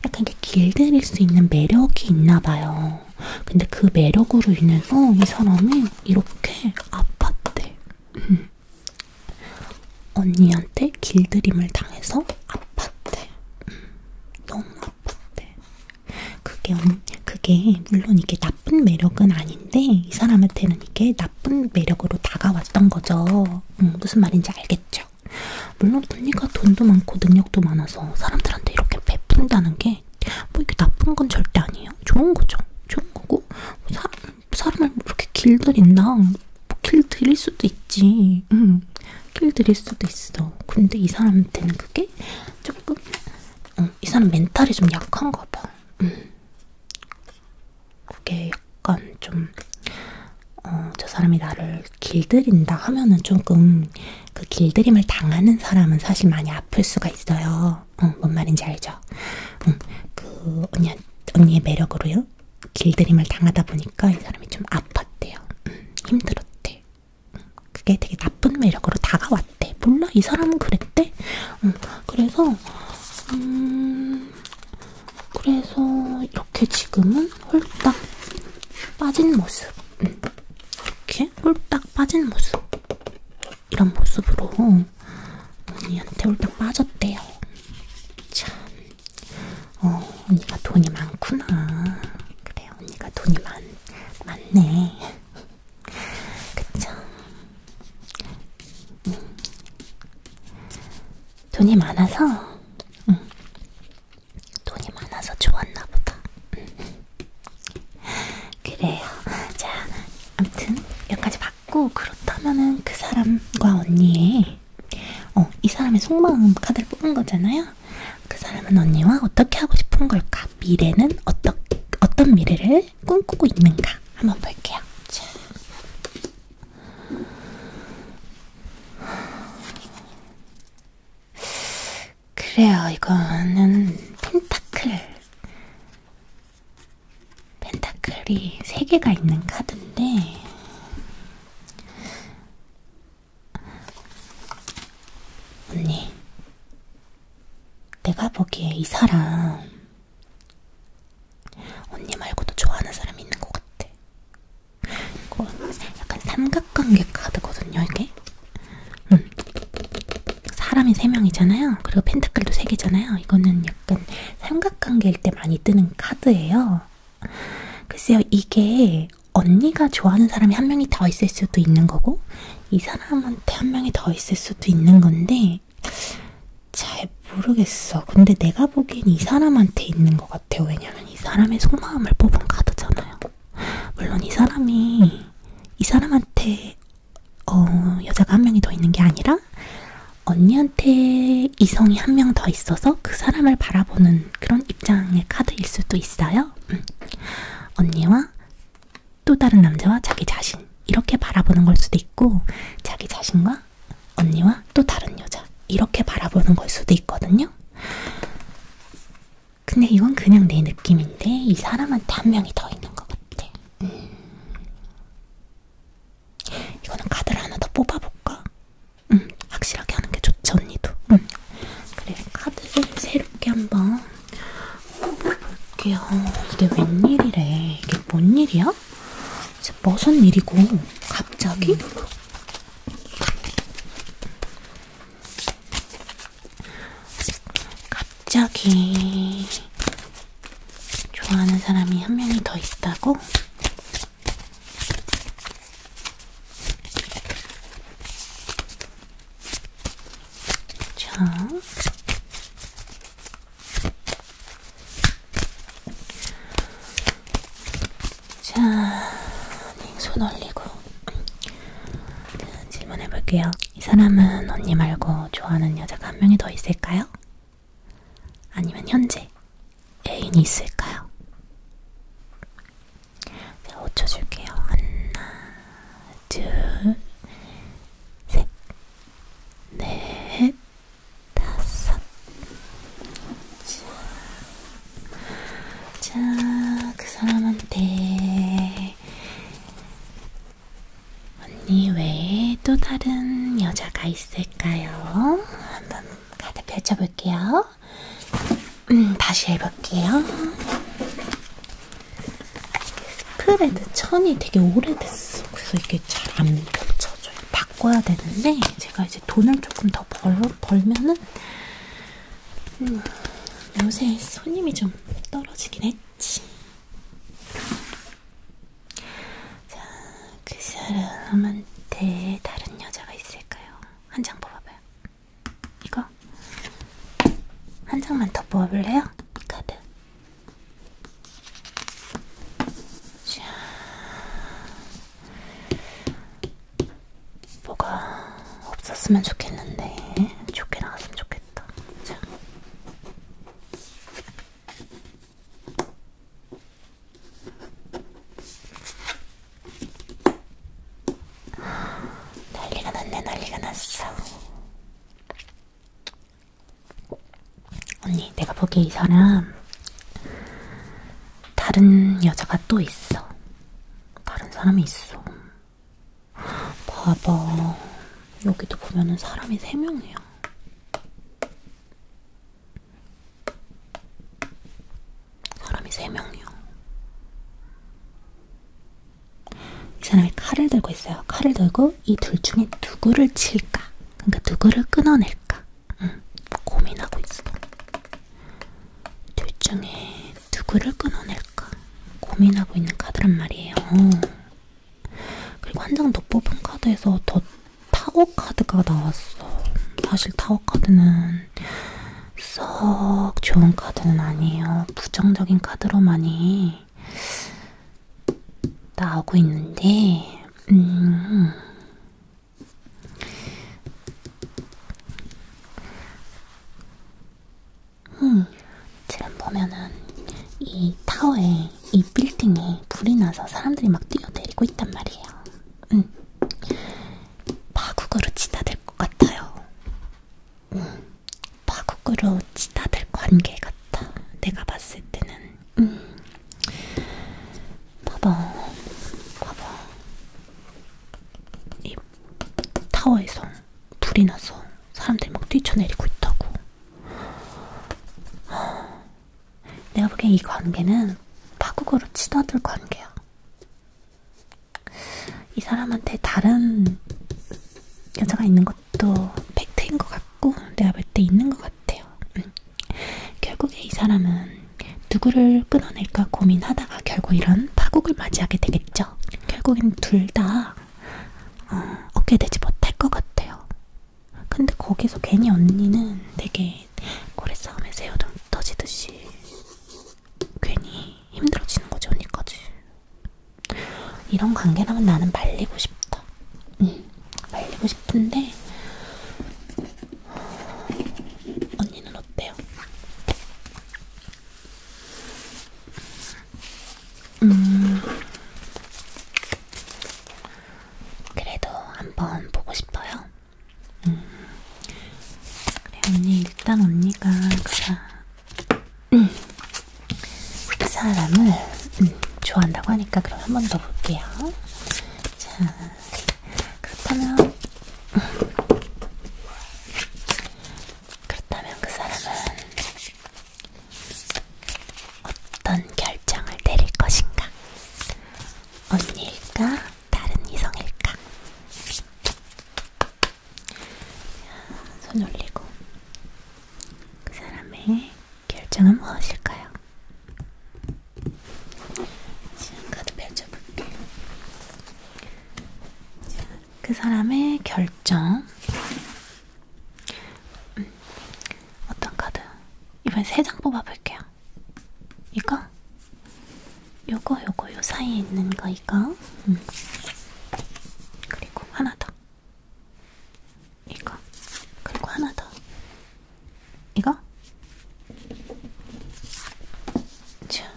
약간 이렇게 길들일 수 있는 매력이 있나 봐요. 근데 그 매력으로 인해서 이 사람이 이렇게 아팠대. 음. 언니한테 길들임을 당해서 아팠대. 음. 너무 아팠대. 그게, 그게 물론 이게 나쁜 매력은 아닌데 이 사람한테는 이게 나쁜 매력으로 다가왔던 거죠. 음, 무슨 말인지 알겠죠? 물론 언니가 돈도 많고 능력도 많아서 사람들한테 이렇게 베푼다는 게 뭐 이게 나쁜 건 절대 아니에요. 좋은 거죠. 좋은 거고 뭐 사람, 사람을 뭐 이렇게 길들인다. 뭐 길들일 수도 있지. 음, 길들일 수도 있어. 근데 이 사람한테는 그게 조금 어, 이 사람 멘탈이 좀 약한가 봐. 음. 그게 약간 좀, 어, 저 사람이 나를 길들인다 하면은 조금 그 길들임을 당하는 사람은 사실 많이 아플 수가 있어요. 응, 뭔 말인지 알죠? 응, 그 언니, 언니의 매력으로요? 길들임을 당하다 보니까 이 사람이 좀 아팠대요. 응, 힘들었대. 응, 그게 되게 나쁜 매력으로 다가왔대. 몰라, 이 사람은 그랬대. 응, 그래서, 음, 그래서 이렇게 지금은 홀딱 빠진 모습. 음, 이렇게 홀딱 빠진 모습. 이런 모습으로 언니한테 홀딱 빠졌대요. 참, 어, 언니가 돈이 많구나. 그래, 언니가 돈이 많, 많네. 그쵸? 음. 돈이 많아서 응. 돈이 많아서 좋았나 보다. 그래요. 자, 아무튼 여기까지 받고 그렇다면은 그 사람과 언니의 어, 이 사람의 속마음 카드를 뽑은 거잖아요. 그 사람은 언니와 어떻게 하고 싶은 걸까? 미래는 어떤 어떤 미래를 꿈꾸고 있는가? 한번 볼게요. 자, 그래요, 이거는 펜타클. 펜타클이 세 개가 있는 카드인데, 언니, 내가 보기에 이 사람 언니 말고도 좋아하는 사람이 있는 것 같아. 이거 약간 삼각관계 카드거든요, 이게. 음. 사람이 3명이잖아요. 그리고 펜타클도 3개잖아요. 이거는 약간 삼각관계일 때 많이 뜨는 카드예요. 글쎄요, 이게 언니가 좋아하는 사람이 한 명이 더 있을 수도 있는 거고, 이 사람한테 한 명이 더 있을 수도 있는 건데, 잘 모르겠어. 근데 내가 보기엔 이 사람한테 있는 것 같아요. 왜냐면 이 사람의 속마음을 뽑은 카드잖아요. 물론 이 사람이 이 사람한테 어, 여자가 한 명이 더 있는 게 아니라 언니한테 이성이 한 명 더 있어서 그 사람을 바라보는 그런 입장의 카드일 수도 있어요. 응. 음. 언니와 또 다른 남자와 자기 자신 이렇게 바라보는 걸 수도 있고 자기 자신과 언니와 또 다른 여자 이렇게 바라보는 걸 수도 있거든요. 근데 이건 그냥 내 느낌인데 이 사람한테 한 명이 더 있는 것 같아. 음. 이거는 카드를 하나 더 뽑아볼까? 음, 확실하게 하는 게 좋죠, 언니도. 음. 그래, 카드를 새롭게 한 번 뽑아볼게요. 이게 웬일이래? 이게 뭔 일이야? 무슨 일이고 갑자기? 음. 갑자기 좋아하는 사람이 한 명이 더 있다고? 자, 자, 닉손 올리고 질문해 볼게요. 이 사람은 언니 말고 좋아하는 여자가 한 명이 더 있을까요? 아니면 현재 애인이 있을까요? 제가 5초 줄게요. 하나, 둘, 셋, 넷, 다섯. 자, 자, 그 사람한테 언니 외에 또 다른 여자가 있을까요? 한번 가득 펼쳐볼게요. 음, 다시 해볼게요. 스프레드 천이 되게 오래됐어. 그래서 이게 잘 안 펼쳐져요. 박 바꿔야 되는데 제가 이제 돈을 조금 더 벌, 벌면은 음, 요새 손님이 좀 떨어지긴 했지. 자, 그 사람한테 다른 여자가 있을까요? 한 장 뽑아봐요. 이거? 한 장만 더 뽑아볼래요? 카드. 자, 뭐가 없었으면 좋겠는데 좋게 나왔으면 좋겠다. 자. 난리가 났네, 난리가 났어. 언니, 내가 보기에 이 사람 다른 여자가 또 있어. 다른 사람이 있어. 봐봐. 여기도 보면은 사람이 세 명이야. 사람이 세 명이야. 이 사람이 칼을 들고 있어요. 칼을 들고 이 둘 중에 누구를 칠까? 그러니까 누구를 끊어낼까? 응, 고민하고 있어. 둘 중에 누구를 끊어낼까 고민하고 있는 카드란 말이에요. 그리고 한 장 더 뽑은 카드에서 더 타워 카드가 나왔어. 사실 타워 카드는 썩 좋은 카드는 아니에요. 부정적인 카드로 많이 나오고 있는데, 음, 음, 지금 보면은 이 타워에, 이 빌딩에 불이 나서 사람들이 막 뛰어내리고 있단 말이에요. 음, 파국으로 치닫을 것 같아요. 음, 파국으로 치닫을 관계 같아. 내가 봤을 때는. 음. 봐봐, 봐봐. 이 타워에서 불이 나서 사람들이 막 뛰쳐내리고 있다고. 내가 보기엔 이 관계는 파국으로 치닫을 관계야. 이 사람한테 다른 여자가 있는 것도 팩트인 것 같고, 내가 볼 때 있는 것 같아요. 응. 음. 결국에 이 사람은 누구를 끊어낼까 고민하다가 결국 이런 파국을 맞이하게 되겠죠. 결국엔 둘 다 어, 어깨 되지 못할 것 같아요. 근데 거기서 괜히 언니는 되게 고래싸움에 새우등 떠지듯이 괜히 힘들어지는 거지 언니까지. 이런 관계라면 나는 말리고 싶다. 응. 말리고 싶은데 언니는 어때요? 음, 그래도 한번 보고 싶어요. 음, 그래 언니 일단 언니가 음, 그 음, 사람을 음, 좋아한다고 하니까 그럼 한번 더 볼게요. 자, 그렇다면, 그렇다면 그 사람은 어떤 결정을 내릴 것인가? 언니일까? 다른 이성일까? 자, 손 올리고 그 사람의 결정은 무엇일까요? 지금 카드 펼쳐볼게요. 자, 그 사람의 결정. 음, 어떤 카드? 이번에 세 장 뽑아볼게요. 이거? 요거, 요거, 요 사이에 있는 거, 이거. 음. 그리고 하나 더. 이거. 그리고 하나 더. 이거? 자.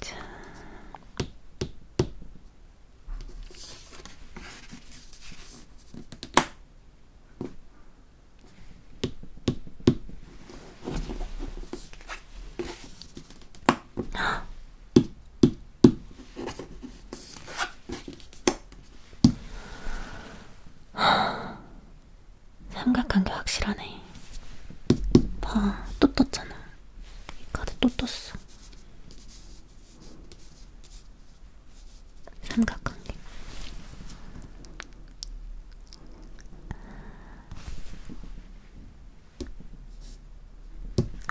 자. [SIGHS] 삼각한 게 확실하네. 봐, 또 떴잖아. 이 카드 또 떴어. 삼각한 게.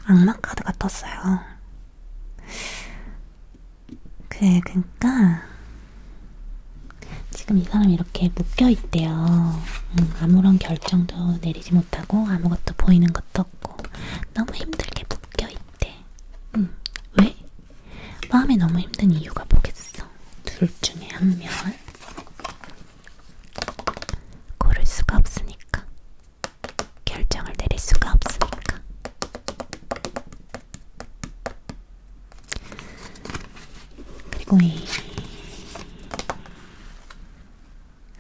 악마 카드가 떴어요. 그래, 그니까. 지금 이 사람이 이렇게 묶여있대요. 음, 아무런 결정도 내리지 못하고, 아무것도 보이는 것도 없고, 너무 힘들게 묶여있대. 음, 왜? 마음이 너무 힘든 이유가 뭐겠어? 둘 중에 한 명을 고를 수가 없으니까. 결정을 내릴 수가 없으니까. 그리고 이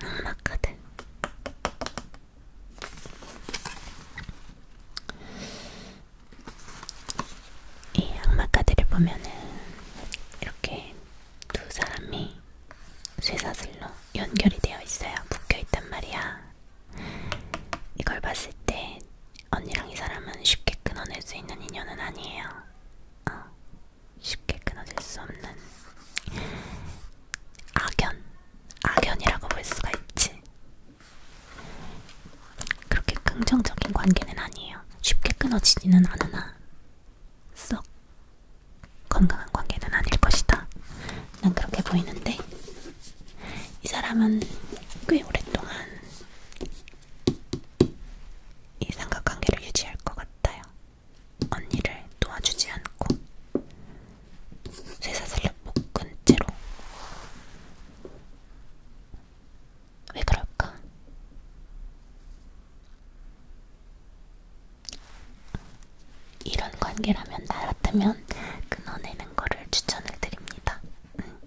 악마 카드. 이 악마 카드를 보면은 이렇게 두 사람이 쇠사슬로 연결이 되어 있어요. 묶여 있단 말이야. 이걸 봤을 때 언니랑 이 사람은 쉽게 끊어낼 수 있는 인연은 아니에요. 어, 쉽게 끊어질 수 없는 악연, 악연이라고 볼 수가 있지. 그렇게 긍정적인 관계는 아니에요. 쉽게 끊어지지는 않으나 썩 건강한 관계는 아닐 것이다. 난 그렇게 보이는데 이 사람은 꽤 오랫동안 이 삼각관계를 유지할 것 같아요. 언니를 도와주지 않고 쇠사슬로 묶은 채로 왜 그럴까? 이런 관계라면 나 같으면 끊어내는 거를 추천을 드립니다. 음.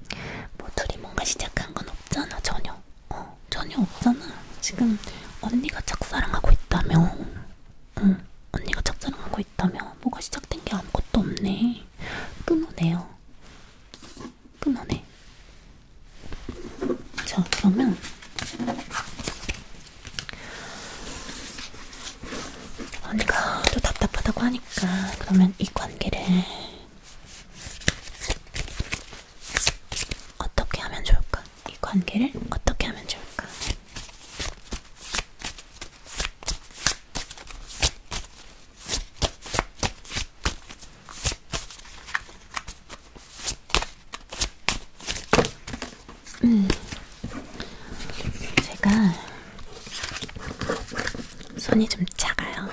뭐 둘이 뭔가 시작한 건 없잖아 전혀. 어 전혀 없잖아. 지금 언니가 짝사랑하고 있다며. 응 언니가 짝사랑하고 있다며. 뭐가 시작된 게 아무것도 없네. 끊어내요. 끊어내. 자 그러면 언니가 또 답답하다고 하니까 그러면 이 관계를 어떻게 하면 좋을까? 이 관계를 어떻게 하면 좋을까? 음, 제가 손이 좀 작아요.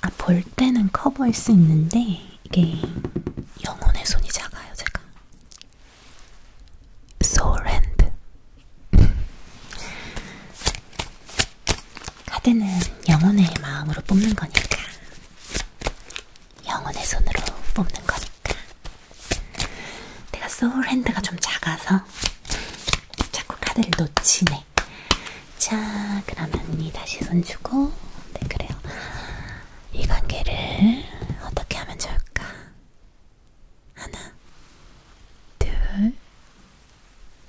아, 볼 때는 커버할 수 있는데 이게 영혼의 손이 작아요, 제가. 소울핸드. 카드는 영혼의 마음으로 뽑는 거니까 영혼의 손으로 뽑는 거니까. 내가 소울 핸드가 좀 작아서 자꾸 카드를 놓치네. 자, 그러면 이 다시 손 주고, 네, 그래요. 이 관계를 어떻게 하면 좋을까? 하나, 둘,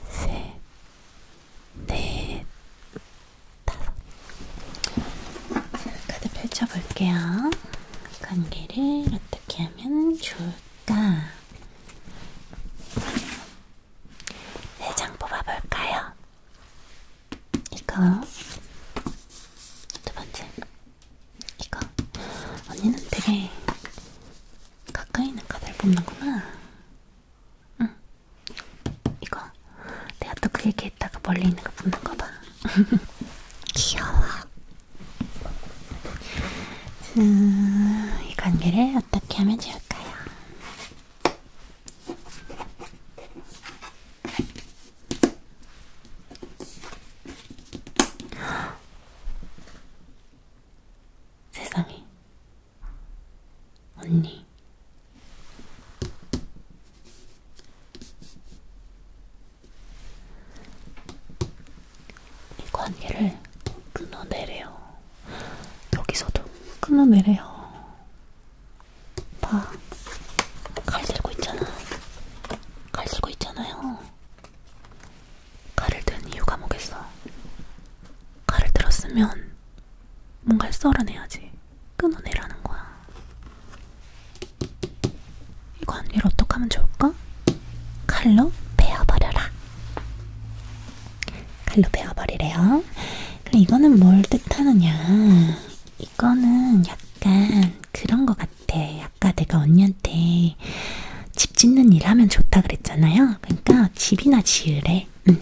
셋, 넷, 다섯. 카드 펼쳐볼게요. 관계를 어떻게 하면 좋을까? 네장 뽑아볼까요? 이거. 두 번째. 이거. 언니는 되게 가까이 있는 카드를 뽑는구나. 응. 이거. 내가 또그 얘기했다가 멀리 있는 거 붙는 거 봐. [LAUGHS] 귀여워. 음, 이 관계를 어떻게 하면 좋을까요? [GASPS] 세상에. 언니, 이 관계를 끊어내래요. 여기서도 끊어내래요. 봐, 칼 들고 있잖아. 칼 들고 있잖아요. 칼을 든 이유가 뭐겠어? 칼을 들었으면 뭔가를 썰어내야지. 끊어내라는 거야. 이 관리를 어떻게 하면 좋을까? 칼로 베어버려라. 칼로 베어버리래요. 근데 이거는 뭘 뜻하느냐? 이거는 약간 그런 것 같아. 아까 내가 언니한테 집 짓는 일 하면 좋다 그랬잖아요. 그러니까 집이나 지으래. 응.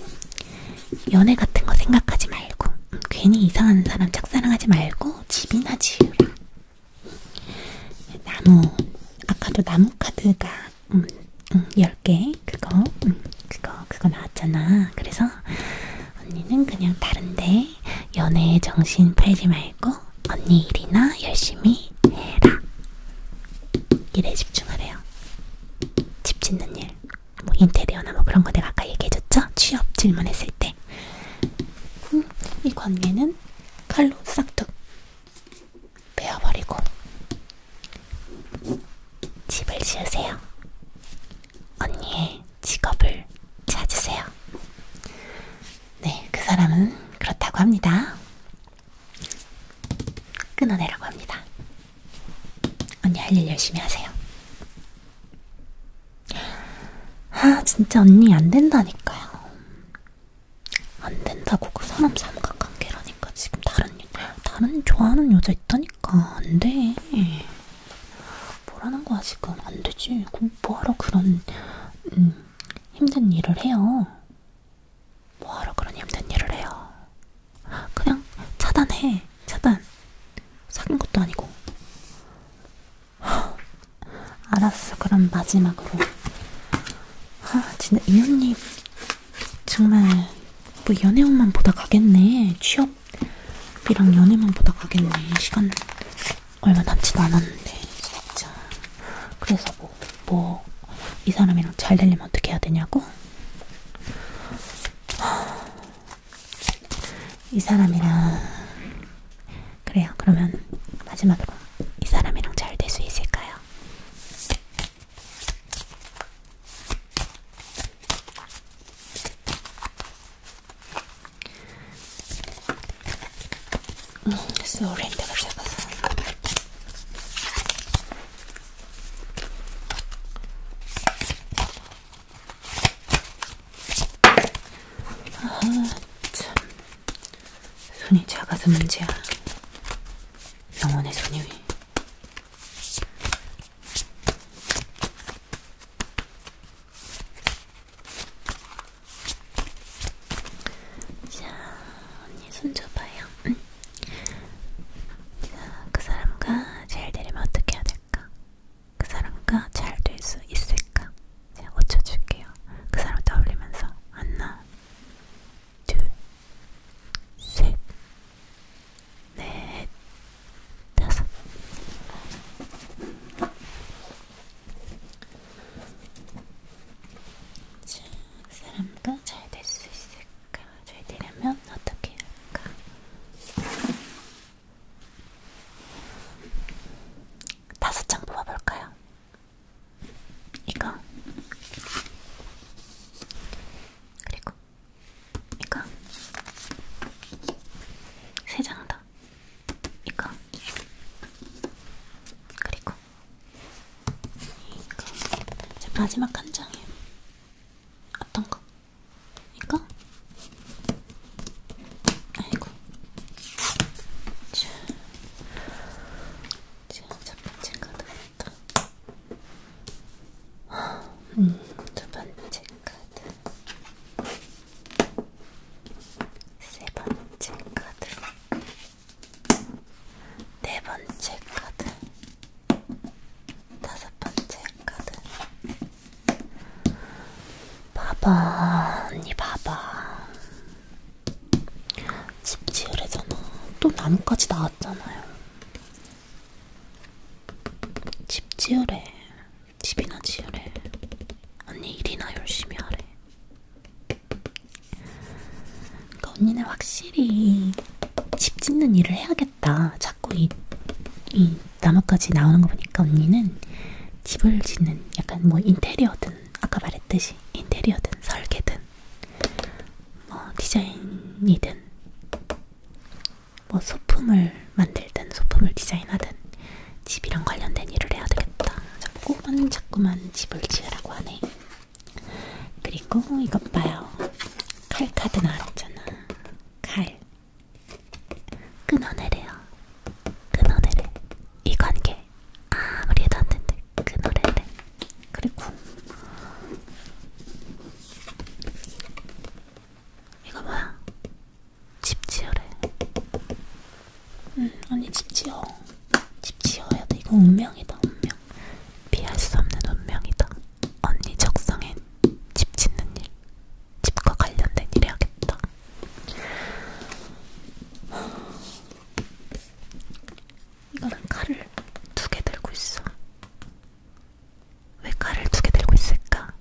연애 같은 거 생각하지 말고 음, 괜히 이상한 사람 짝사랑하지 말고 집이나 지으라. 나무 아까도 나무 카드가 음, 음, 10개 그거 음, 그거 그거 나왔잖아. 그래서 언니는 그냥 다른데 연애에 정신 팔지 말고 언니 일이나 열심히 해라. 일에 집중하래요. 집 짓는 일. 뭐 인테리어나 뭐 그런 거 내가 아까 얘기해줬죠? 취업 질문했을 때. 음, 이 관계는 칼로 싹둑 베어버리고 집을 지으세요. 언니의 직업을 찾으세요. 네, 그 사람은 그렇다고 합니다. 끊어내라고 합니다. 언니 할 일 열심히 하세요. 아, 진짜 언니 안 된다니까요. 안 된다고 그 사람 삼각관계라니까 지금 다른 다른 좋아하는 여자 있다니까 안 돼. 뭐라는 거야 지금 안 되지. 그 뭐하러 그런 음, 힘든 일을 해요. 뭐하러 그런 힘든 일을 해요. 그냥 차단해. 차단. 사귄 것도 아니고. 알았어. 그럼 마지막으로. 아, 진짜 이 언니 정말 뭐 연애운만 보다 가겠네. 취업이랑 연애만 보다 가겠네. 시간 얼마 남지도 않았는데 진짜. 그래서 뭐, 뭐, 이 사람이랑 잘 되려면 어떻게 해야 되냐고? 이 사람이랑 그래요. 그러면 마지막으로 이 사람이랑 잘 될 수 있을까요? 음, sorry, 내가 잡았어. 아, 참. 손이 작아서 문제야. 영혼의 손이 위. 자, 언니 손 줘봐요. 응. 음. 자, 그 사람과 제일 내리면 어떻게 해야 될까? 그 사람과 잘 될 수 있을까? 제가 고쳐줄게요. 그 사람 떠올리면서 하나, 둘, 셋, 넷, 다섯. 자, 그 사람과 잘 될 수 있을까? 잘 되려면 어떻게 할까? 다섯 장 뽑아볼까요? 이거 그리고 이거 세 장 더. 이거 그리고 이거 제 마지막 한 장이에요. 어떤 거? 이거? 아이고. 자, 첫 번째 카드부터. 음, 두 번째 카드. 세 번째 카드. 네 번째 카드. 다섯 번째 카드. 봐봐, 언니 봐봐. 집 지으래잖아. 또 나뭇가지 나왔잖아요. 집 지으래. 집이나 지으래. 언니 일이나 열심히 하래. 그러니까 언니는 확실히 집 짓는 일을 해야겠다. 했다. 자꾸 이, 이 나뭇가지 나오는 거 보니까 언니는 집을 짓는 약간 뭐 인테리어든 아까 말했듯이 인테리어든 설계든 뭐 디자인이든 뭐 소품을 만들든 소품을 디자인하든 집이랑 관련된 일을 해야 되겠다. 자꾸만 자꾸만 집을 지으라고 하네. 그리고 이것 봐요. 칼 카드 나왔잖아. 칼. 끊어내래요. 끊어내래. 이 관계 아무리 해도 안 된대. 끊어내래. 그리고 이거 뭐야? 집 지어래. 응, 음, 언니 집 지어. 집 지어야 돼. 이거 운명이다, 운명. 피할 수 없는 운명이다. 언니 적성엔 집 짓는 일, 집과 관련된 일 해야겠다. 이거는 칼을 두 개 들고 있어. 왜 칼을 두 개 들고 있을까?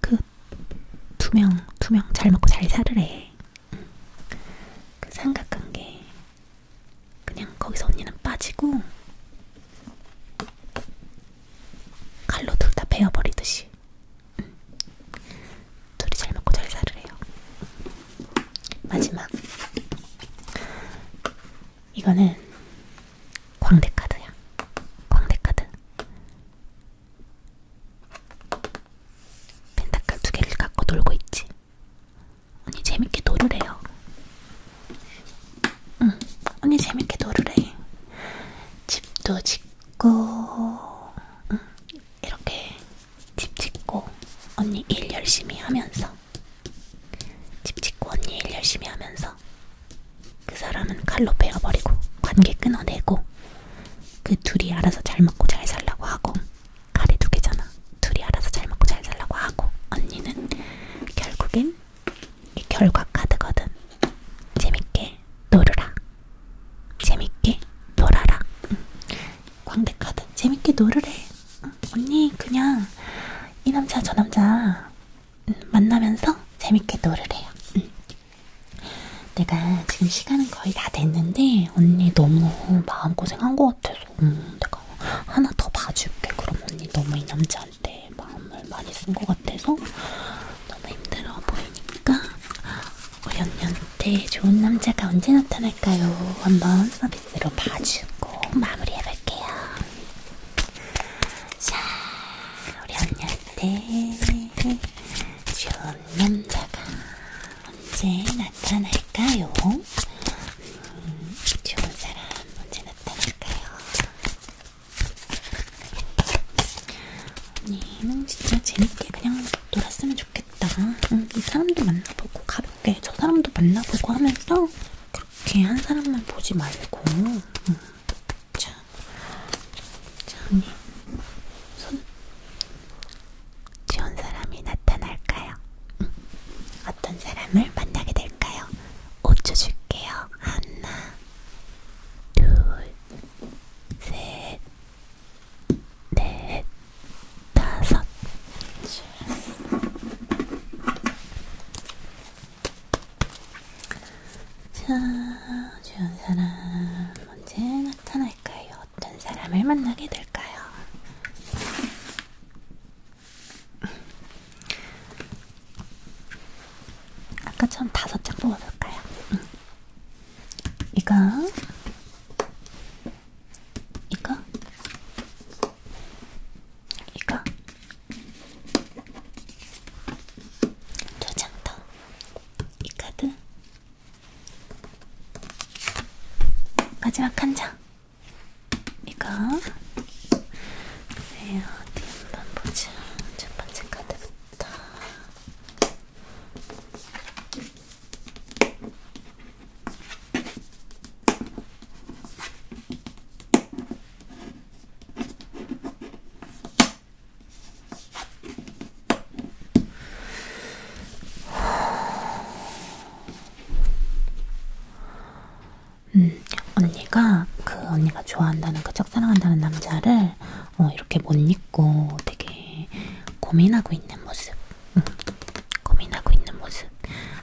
그 두 명, 두 명 잘 먹고 잘 살으래. 그 삼각관계 그냥 거기서 언니는 빠지고 칼로 둘 다 베어버리듯이 응. 음. 둘이 잘 먹고 잘 살으래요. 마지막 이거는 광대 카드야. 광대 카드. 펜타클 두 개를 갖고 놀고 있지. 언니 재밌게 놀으래요. 응, 언니 재밌게 놀으래. 집도 짓고, 응, 이렇게 집 짓고, 언니 일 열심히 하면서. 집 짓고 언니 일 열심히 하면서. 그 사람은 칼로 베어버리고, 관계 끊어내고, 그 둘이 알아서 잘 먹고 잘 살라고 하고, 칼이 두 개잖아. 둘이 알아서 잘 먹고 잘 살라고 하고, 언니는 결국엔 이 결과 카드거든. 재밌게 놀으라. 재밌게 놀아라. 응. 광대 카드. 재밌게 놀으래. 응. 언니 그냥 이 남자 저 남자 응. 만나면서 재밌게 놀으래요. 응. 내가 지금 시간은 거의 다 됐는데 언니 너무 마음고생한 것 같아서 음, 내가 하나 더 봐줄게. 그럼 언니 너무 이 남자 할때 마음을 많이 쓴 것 같아서 너무 힘들어 보이니까 우연년때 좋은 남자가 언제 나타날까요? 한번 서비스로 봐주고 마무리해볼게요. 자, 우리 언니한테 좋은 남자가 언제 나타날까요? 음, 좋은 사람 언제 몇 대일까요? 언니는 진짜 재밌게 그냥 놀았으면 좋겠다. 응, 이 사람도 만나보고 가볍게 저 사람도 만나보고 하면서 그렇게 한 사람만 보지 말고. 응. 자, 자 언니 손. 좋은 사람이 나타날까요? 응. 어떤 사람을 만나게 될까요? 5초 줄게요. 하나, 둘, 셋, 넷, 다섯. 자, 좋은 사람 언제 나타날까요? 어떤 사람을 만나게 될까요? 아까처럼 다섯 장 뽑아볼까요? 응. 이거, 이거, 이거, 두 장 더, 이 카드, 마지막 한 장. 이거 네 어디 한번 보자 첫 번째 카드부터 음, 언니가 그 언니가 좋아한다는 그 짝사랑한다는 남자를 어, 이렇게 못 잊고 되게 고민하고 있는 모습, 응. 음, 고민하고 있는 모습.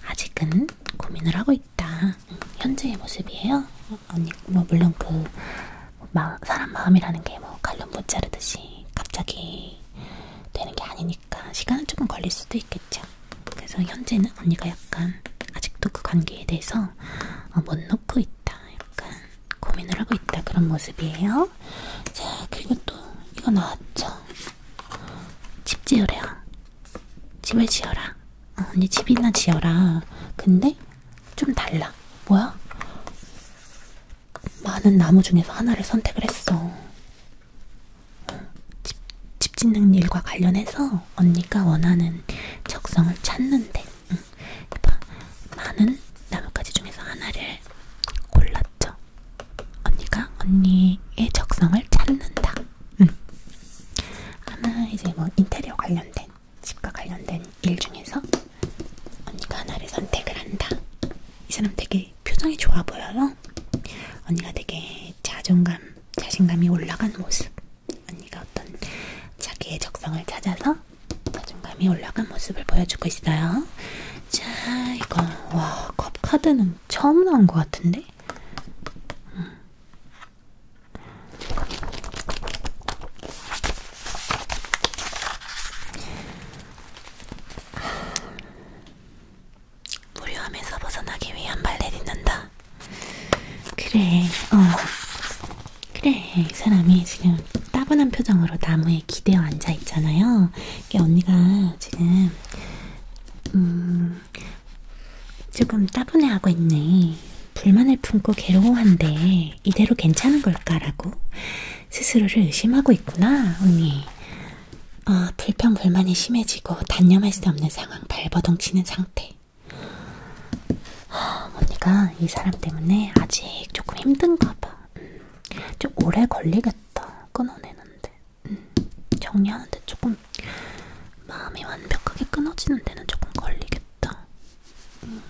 아직은 고민을 하고 있다. 응. 현재의 모습이에요. 언니, 뭐 물론 그 마, 사람 마음이라는 게뭐 갈론 못 자르듯이 갑자기 되는 게 아니니까 시간은 조금 걸릴 수도 있겠죠. 같아요. 그래서 현재는 언니가 약간 아직도 그 관계에 대해서 어, 못 놓고 있다. 약간 고민을 하고 있다. 그런 모습이에요. 자, 그리고 또 이거 나왔죠. 집 지으래요. 집을 지어라. 어, 언니 집이나 지어라. 근데 좀 달라. 뭐야? 많은 나무 중에서 하나를 선택을 했어. 어, 집, 집 짓는 일과 관련해서 언니가 원하는 적성을 찾는데 응. 많은 나뭇가지 중에서 하나를 골랐죠. 언니가 언니의 적성을 찾는다. 응. 하나 이제 뭐 인테리어 관련된 집과 관련된 일 중에서 언니가 하나를 선택을 한다. 이 사람 되게 표정이 좋아 보여요. 언니가 되게 자존감 자신감이 올라간 모습. 언니가 어떤 자기의 적성을 찾아서 자존감이 올라간 모습을 보여주고 있어요. 자, 이거 와, 컵 카드는 처음 나온 것 같은데? 음. 무료함에서 벗어나기 위한 발레 딛는다. 그래, 어. 그래, 사람이 지금 따분한 표정으로 나무에 기대어 앉아 있잖아요. 이게 언니가 지금, 음, 조금 따분해하고 있네. 불만을 품고 괴로워한데, 이대로 괜찮은 걸까라고 스스로를 의심하고 있구나, 언니. 어, 불평불만이 심해지고 단념할 수 없는 상황 발버둥치는 상태 그치? 아, 언니가 이 사람 때문에 아직 조금 힘든가 봐. 음, 좀 오래 걸리겠다. 끊어내는데. 음, 정리하는데 조금 마음이 완벽하게 끊어지는 데는 조금 걸리겠다. 음,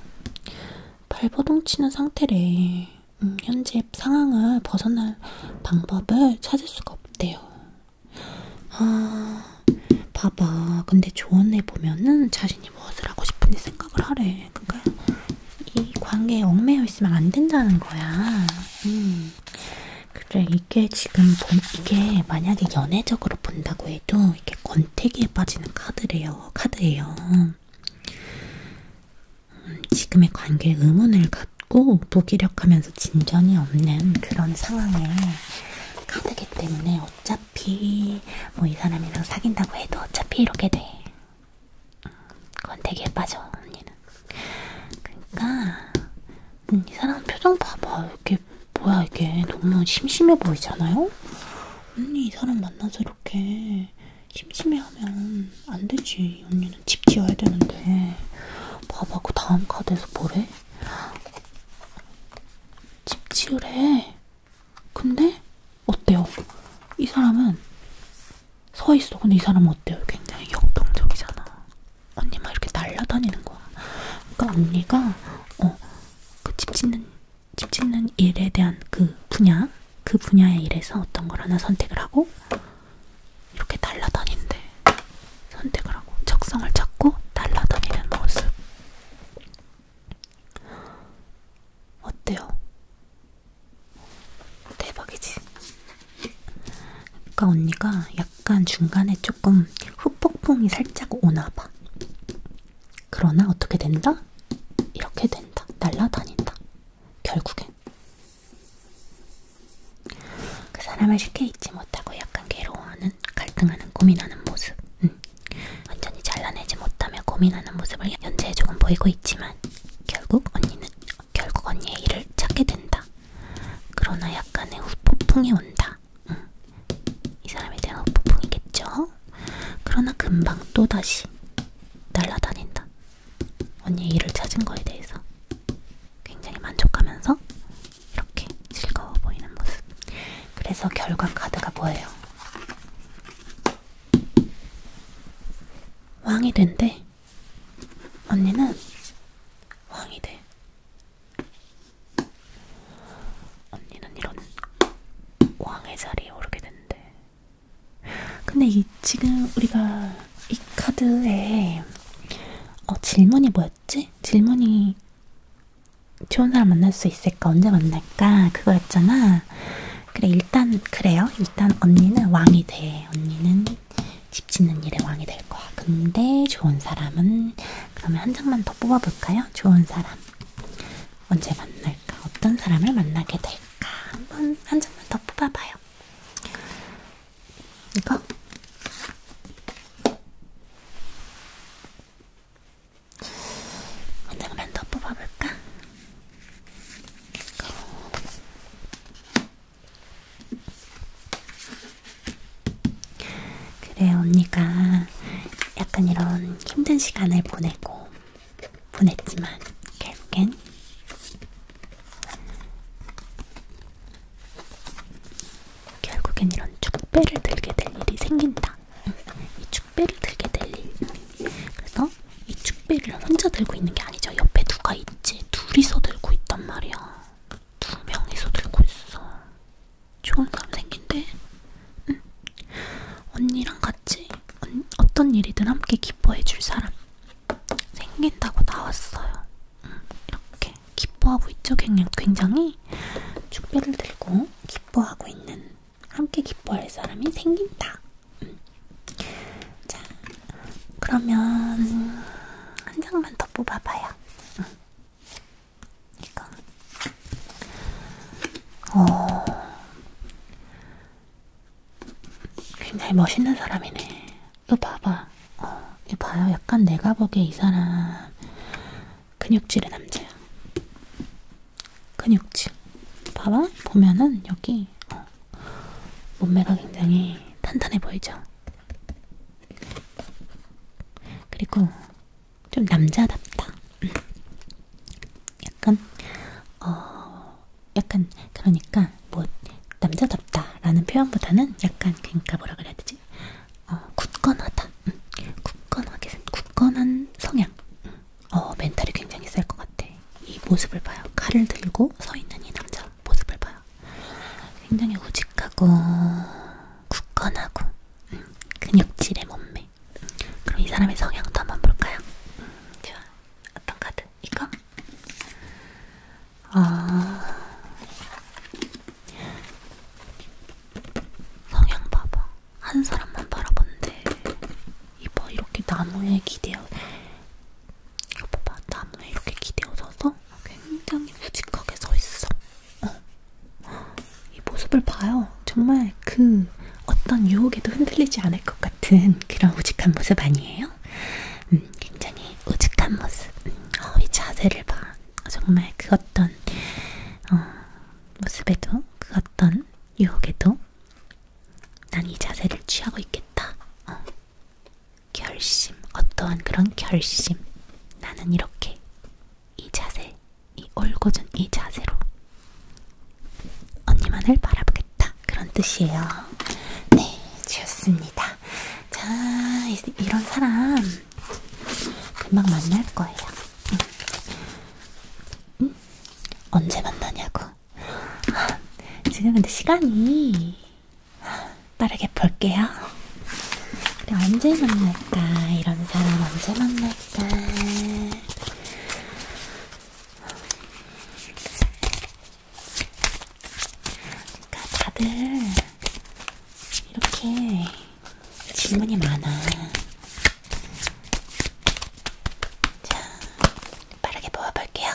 발버둥 치는 상태래. 음, 현재 상황을 벗어날 방법을 찾을 수가 없대요. 아, 봐봐. 근데 조언해 보면은 자신이 무엇을 하고 싶은지 생각을 하래. 그러니까 이 관계에 얽매여 있으면 안 된다는 거야. 음. 그래, 이게 지금 본, 이게 만약에 연애적으로 본다고 해도 이렇게 권태기에 빠지는 카드래요. 카드예요. 음, 지금의 관계에 의문을 갖고 무기력하면서 진전이 없는 그런 상황에 카드기 때문에 어차피 뭐 이 사람이랑 사귄다고 해도 어차피 이렇게 돼. 음, 그건 되게 빠져 언니는. 그러니까 음, 이 사람 표정 봐봐. 이게 뭐야 이게 너무 심심해 보이잖아요. 언니 이 사람 만나서 이렇게 심심해하면 안 되지. 언니는 집 지어야 되는데. 봐봐 그 다음 카드에서 뭐래? 집 지으래. 근데 어때요? 이 사람은 서 있어. 근데 이 사람은 어때요? 굉장히 역동적이잖아. 언니 막 이렇게 날라다니는 거야. 그러니까 언니가 어, 그 집 짓는 집 짓는 일에 대한 그 분야, 그 분야의 일에서 어떤 걸 하나 선택을 하고 이렇게 날라다닌대. 선택을 하고 적성을 찾고 날아다니는 모습 어때요? 대박이지? 그러니까 언니가 약간 중간에 조금 후폭풍이 살짝 오나봐 그러나 어떻게 된다? 이렇게 된다 날아다닌다 결국엔 그 사람을 쉽게 잊지 못하고 약간 괴로워하는 갈등하는 고민하는 모습 음. 완전히 잘라내지 못하며 고민하는 모습을 현재에 조금 보이고 있지만 결국 언니는 결국 언니의 일을 찾게 된다. 그러나 약간의 후폭풍이 온다. 음. 이 사람에 대한 후폭풍이겠죠? 그러나 금방 또다시 날아다닌다. 언니의 일을 찾은 거에 대해서 굉장히 만족하면서 이렇게 즐거워 보이는 모습. 그래서 결과 카드가 뭐예요? 왕이 된대. 언니는 왕이 돼. 언니는 이런 왕의 자리에 오르게 된대. 근데 이 지금 우리가 이 카드에 어, 질문이 뭐였지? 질문이 좋은 사람 만날 수 있을까? 언제 만날까? 그거였잖아. 그래, 일단, 그래요. 일단 언니는 왕이 돼. 언니는 집 짓는 일에 왕이 될 거야. 근데 좋은 사람은, 그러면 한 장만 더 뽑아볼까요? 좋은 사람. 언제 만날까? 어떤 사람을 만나게 될까? 한번, 한 장만 더 뽑아봐요. 이거? 오늘만 더 뽑아볼까? 그래, 언니가 약간 이런 힘든 시간을 보내고, 보냈지만, 결국엔 결국엔 이런 축배를 들게 될 일이 생긴다. 이 축배를 들게 될 일. 그래서 이 축배를 혼자 들고 있는 게 아니죠. 옆에 누가 있지. 둘이서 들고 있단 말이야. 두 명이서 들고 있어. 좋은 사람 생긴데? 응. 언니랑 같이 언, 어떤 일이든 함께 기뻐해줄 사람 생긴다고 나왔어요. 이렇게 기뻐하고 있죠. 굉장히 축배를 들고 기뻐하고 있는 함께 기뻐할 사람이 생긴다. 음. 자, 그러면 한 장만 더 뽑아봐요. 음. 이거. 어, 굉장히 멋있는 사람이네. 이거 봐봐. 어, 이 봐요. 약간 내가 보기에 이 사람 근육질의 남자야. 근육질. 봐봐. 보면은 여기 어, 몸매가 굉장히 탄탄해 보이죠. 그리고 좀 남자답다. 음. 약간 어 약간 그러니까 뭐 남자답다라는 표현보다는 약간 그러니까 뭐라 그래야 되지? 어, 굳건하다. 응. 굳건하게 생, 굳건한 성향. 응. 어, 멘탈이 굉장히 셀것 같아. 이 모습을 봐요. 칼을 들고 서 있는 이 남자 모습을 봐요. 굉장히 우직하고 굳건하고 응. 근육질의 몸매. 응. 그럼 이 사람의 성향도 한번 볼까요? 응. 좋아. 어떤 카드? 이거? 아. 성향 봐봐. 한 사람만 바라본데. 이봐, 이렇게 나무에 기대어. 이거 봐봐, 나무에 이렇게 기대어져서 굉장히 솔직하게 서 있어. 어. 이 모습을 봐요. 정말 그 어떤 유혹에도 흔들리지 않을 것 같은 그런 우직한 모습 아니에요? 음, 굉장히 우직한 모습. 음, 어, 이 자세를 봐. 정말 그 어떤 어, 모습에도 그 어떤 유혹에도 난 이 자세를 취하고 있겠다. 어. 결심, 어떠한 그런 결심. 나는 이렇게 이 자세, 이 올고준 이 자세로 언니만을 바라보겠다. 그런 뜻이에요. 네, 좋습니다. 자, 이런 사람 금방 만날 거예요. 응. 응? 언제 만나냐고. 지금 근데 시간이 빠르게 볼게요. 그래, 언제 만날까? 이런 사람 언제 만날까? 그러니까 다들 이렇게 질문이 많아. 자, 빠르게 모아볼게요.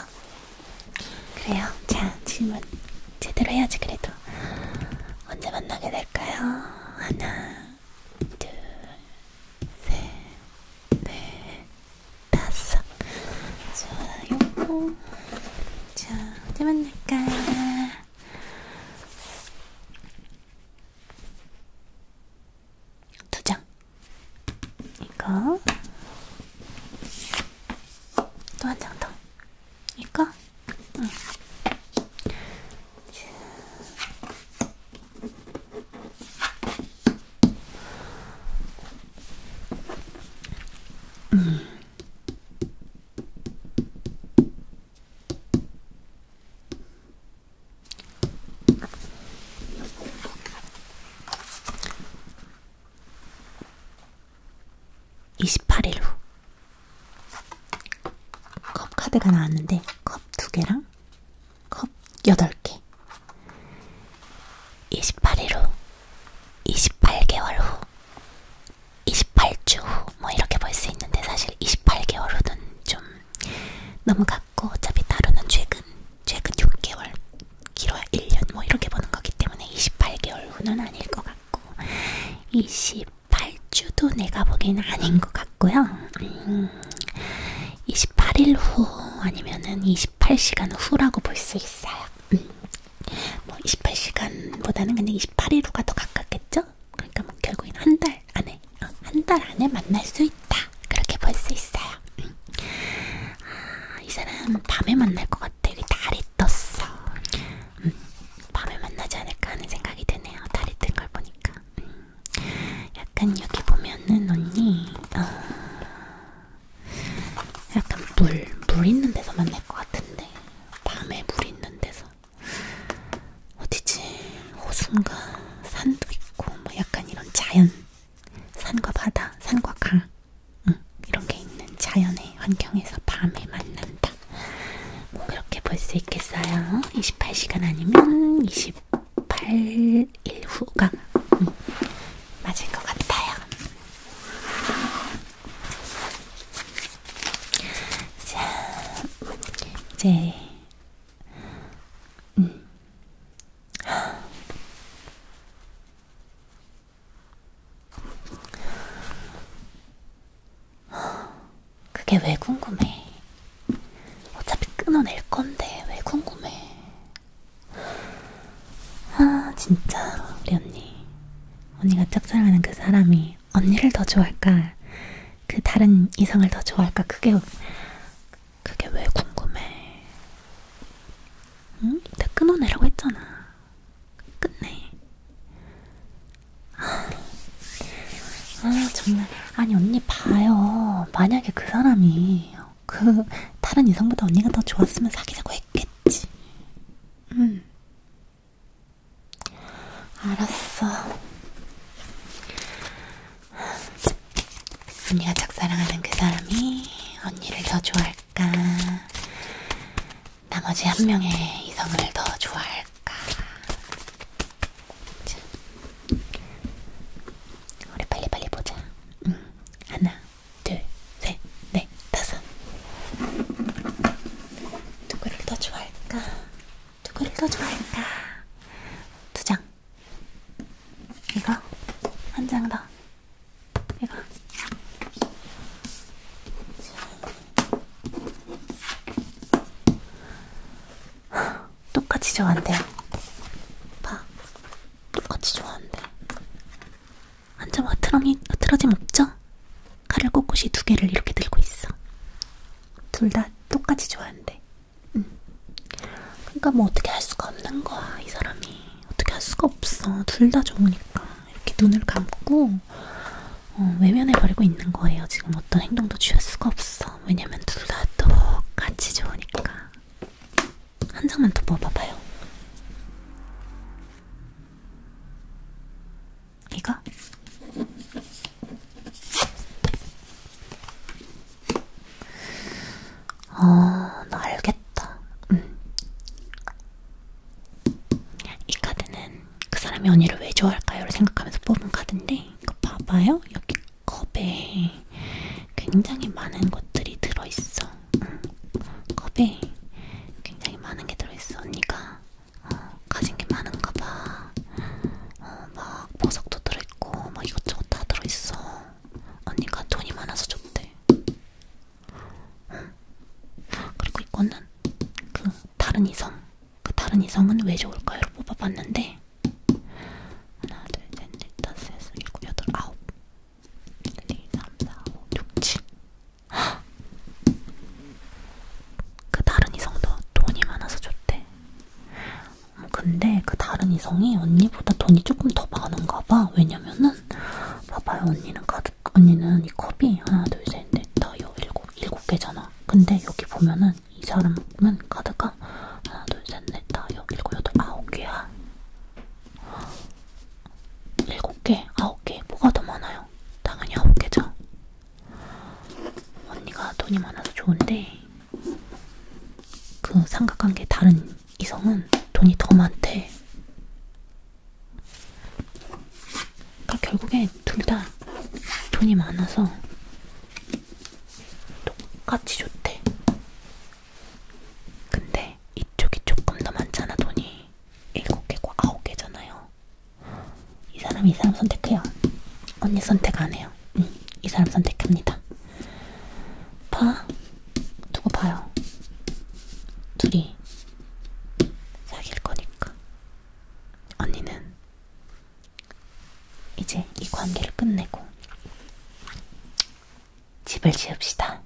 그래요. 자, 질문 제대로 해야지 그래도. 언제 만나게 될까요? 하나, 둘, 셋, 넷, 다섯. 좋아요. 자, 언제 만날까? 두장 이거 또 한 장더 이거 응. 음. 28일 후 컵 카드가 나왔는데 컵 2개랑 컵 8개 28일 후 28개월 후 28주 후뭐 이렇게 볼 수 있는데 사실 28개월 후는 좀 너무 같고 어차피 다루는 최근 최근 6개월 길어야 1년 뭐 이렇게 보는 거기 때문에 28개월 후는 아닐 것 같고 28주도 내가 보기에는 아닌 것 같고요. 음, 28일 후 아니면은 28시간 후라고 볼 수 있어요. 음, 뭐 28시간보다는 근데 28일로가 더 가깝겠죠? 그러니까 뭐 결국엔 한 달 안에, 어, 한달 안에 만날 수 있다. 그렇게 볼 수 있어요. 응. 아, 이 사람 밤에 만날 것 같아. 여기 달이 떴어. 응. 음, 밤에 만나지 않을까 하는 생각이 드네요. 달이 뜬 걸 보니까. 응. 음, 약간 여기 보면은 언니, 어, 약간 물, 물 있는 데서 만날 것 같은데. 밤에 물 있는 데서. 어디지? 호수인가? 산도 있고 뭐 약간 이런 자연 산과 바다, 산과 강 응, 이런 게 있는 자연의 환경에서 밤에 만난다. 뭐 그렇게 볼 수 있겠어요. 28시간 아니면 28일 후가 응, 맞을 것 같아요. 자, 이제 음. 그게 왜 궁금해? 어차피 끊어낼 건데 왜 궁금해? 아 진짜 우리 언니 언니가 짝사랑하는 그 사람이 마음이 언니를 더 좋아할까, 그 다른 이성을 더 좋아할까, 그게, 그게 왜 궁금해. 응? 내가 끊어내라고 했잖아. 끝내. 아, 아 정말. 아니, 언니 봐요. 만약에 그 사람이, 그, 다른 이성보다 언니가 더 좋았으면 사귀자고 했겠지. 응. 알았어. 언니가 짝사랑하는 그 사람이 언니를 더 좋아할까? 나머지 한 명의 이성을 더 좋아할까? 자. 우리 빨리빨리 보자. 응. 음, 하나, 둘, 셋, 넷. 네, 다섯. 누구를 더 좋아할까? 누구를 더 좋아할까? 두 장. 이거 한 장 더. 이거. 똑같이 좋아한대요. 봐. 똑같이 좋아한대. 완전 흐트러짐 없죠? 칼을 꼿꼿이 두 개를 이렇게 들고 있어. 둘 다 똑같이 좋아한대. 응. 음. 그러니까 뭐 어떻게 할 수가 없는 거야 이 사람이. 어떻게 할 수가 없어. 둘 다 좋으니까 이렇게 눈을 감고 어, 외면해 버리고 있는 거예요. 지금 어떤 행동도 취할 수가 없어. 왜냐면 둘 다 똑같이 좋으니까. 한 장만 더 뽑아봐요. 이거? 아, 나 알겠다. 음. 이 카드는 그 사람이 언니를 왜 좋아할까요를 생각하면서 뽑은 카드인데, 이거 봐봐요. 여기 컵에 굉장히 많은 것들이 들어있어. 음. 컵에 굉장히 많은 게 들어있어. 언니가 어, 가진 게 많은가 봐. 어, 막 보석도 들어있고 막 이것저것 다 들어있어. 언니가 돈이 많아서 줬대. 응. 그리고 이거는 그 다른 이성. 그 다른 이성은 왜 좋을까요?로 뽑아봤는데 하나, 둘, 셋, 넷, 다섯, 여섯, 일곱, 여덟, 아홉, 일, 네, 이, 삼, 사, 오, 육, 칠. 그 다른 이성도 돈이 많아서 좋대. 음, 근데 그 다른 이성이 언니보다 돈이 조금 더 많은가 봐. 왜냐면은 봐봐요 언니는 가득 언니는 이 컵이 하나 둘 셋넷 다섯 일곱 일곱 개잖아. 근데 여기 보면은 이 사람은 가득한 하나 둘 셋넷 다섯 일곱 여덟 아홉 개야. 일곱 개 아홉 개 뭐가 더 많아요? 있을까요? 당연히 없겠죠? 언니가 돈이 많아서 좋은데 그 삼각관계 다른 이성은 돈이 더 많대. 그러니까 결국에 둘 다 돈이 많아서 똑같이 좋대. 근데 이쪽이 조금 더 많잖아 돈이. 일곱 개고 아홉 개잖아요. 이 사람 이 사람 선택해요. 언니 선택 안 해요. 응, 이 사람 선택합니다. 봐, 두고 봐요. 둘이 사귈 거니까. 언니는 이제 이 관계를 끝내고 집을 지읍시다.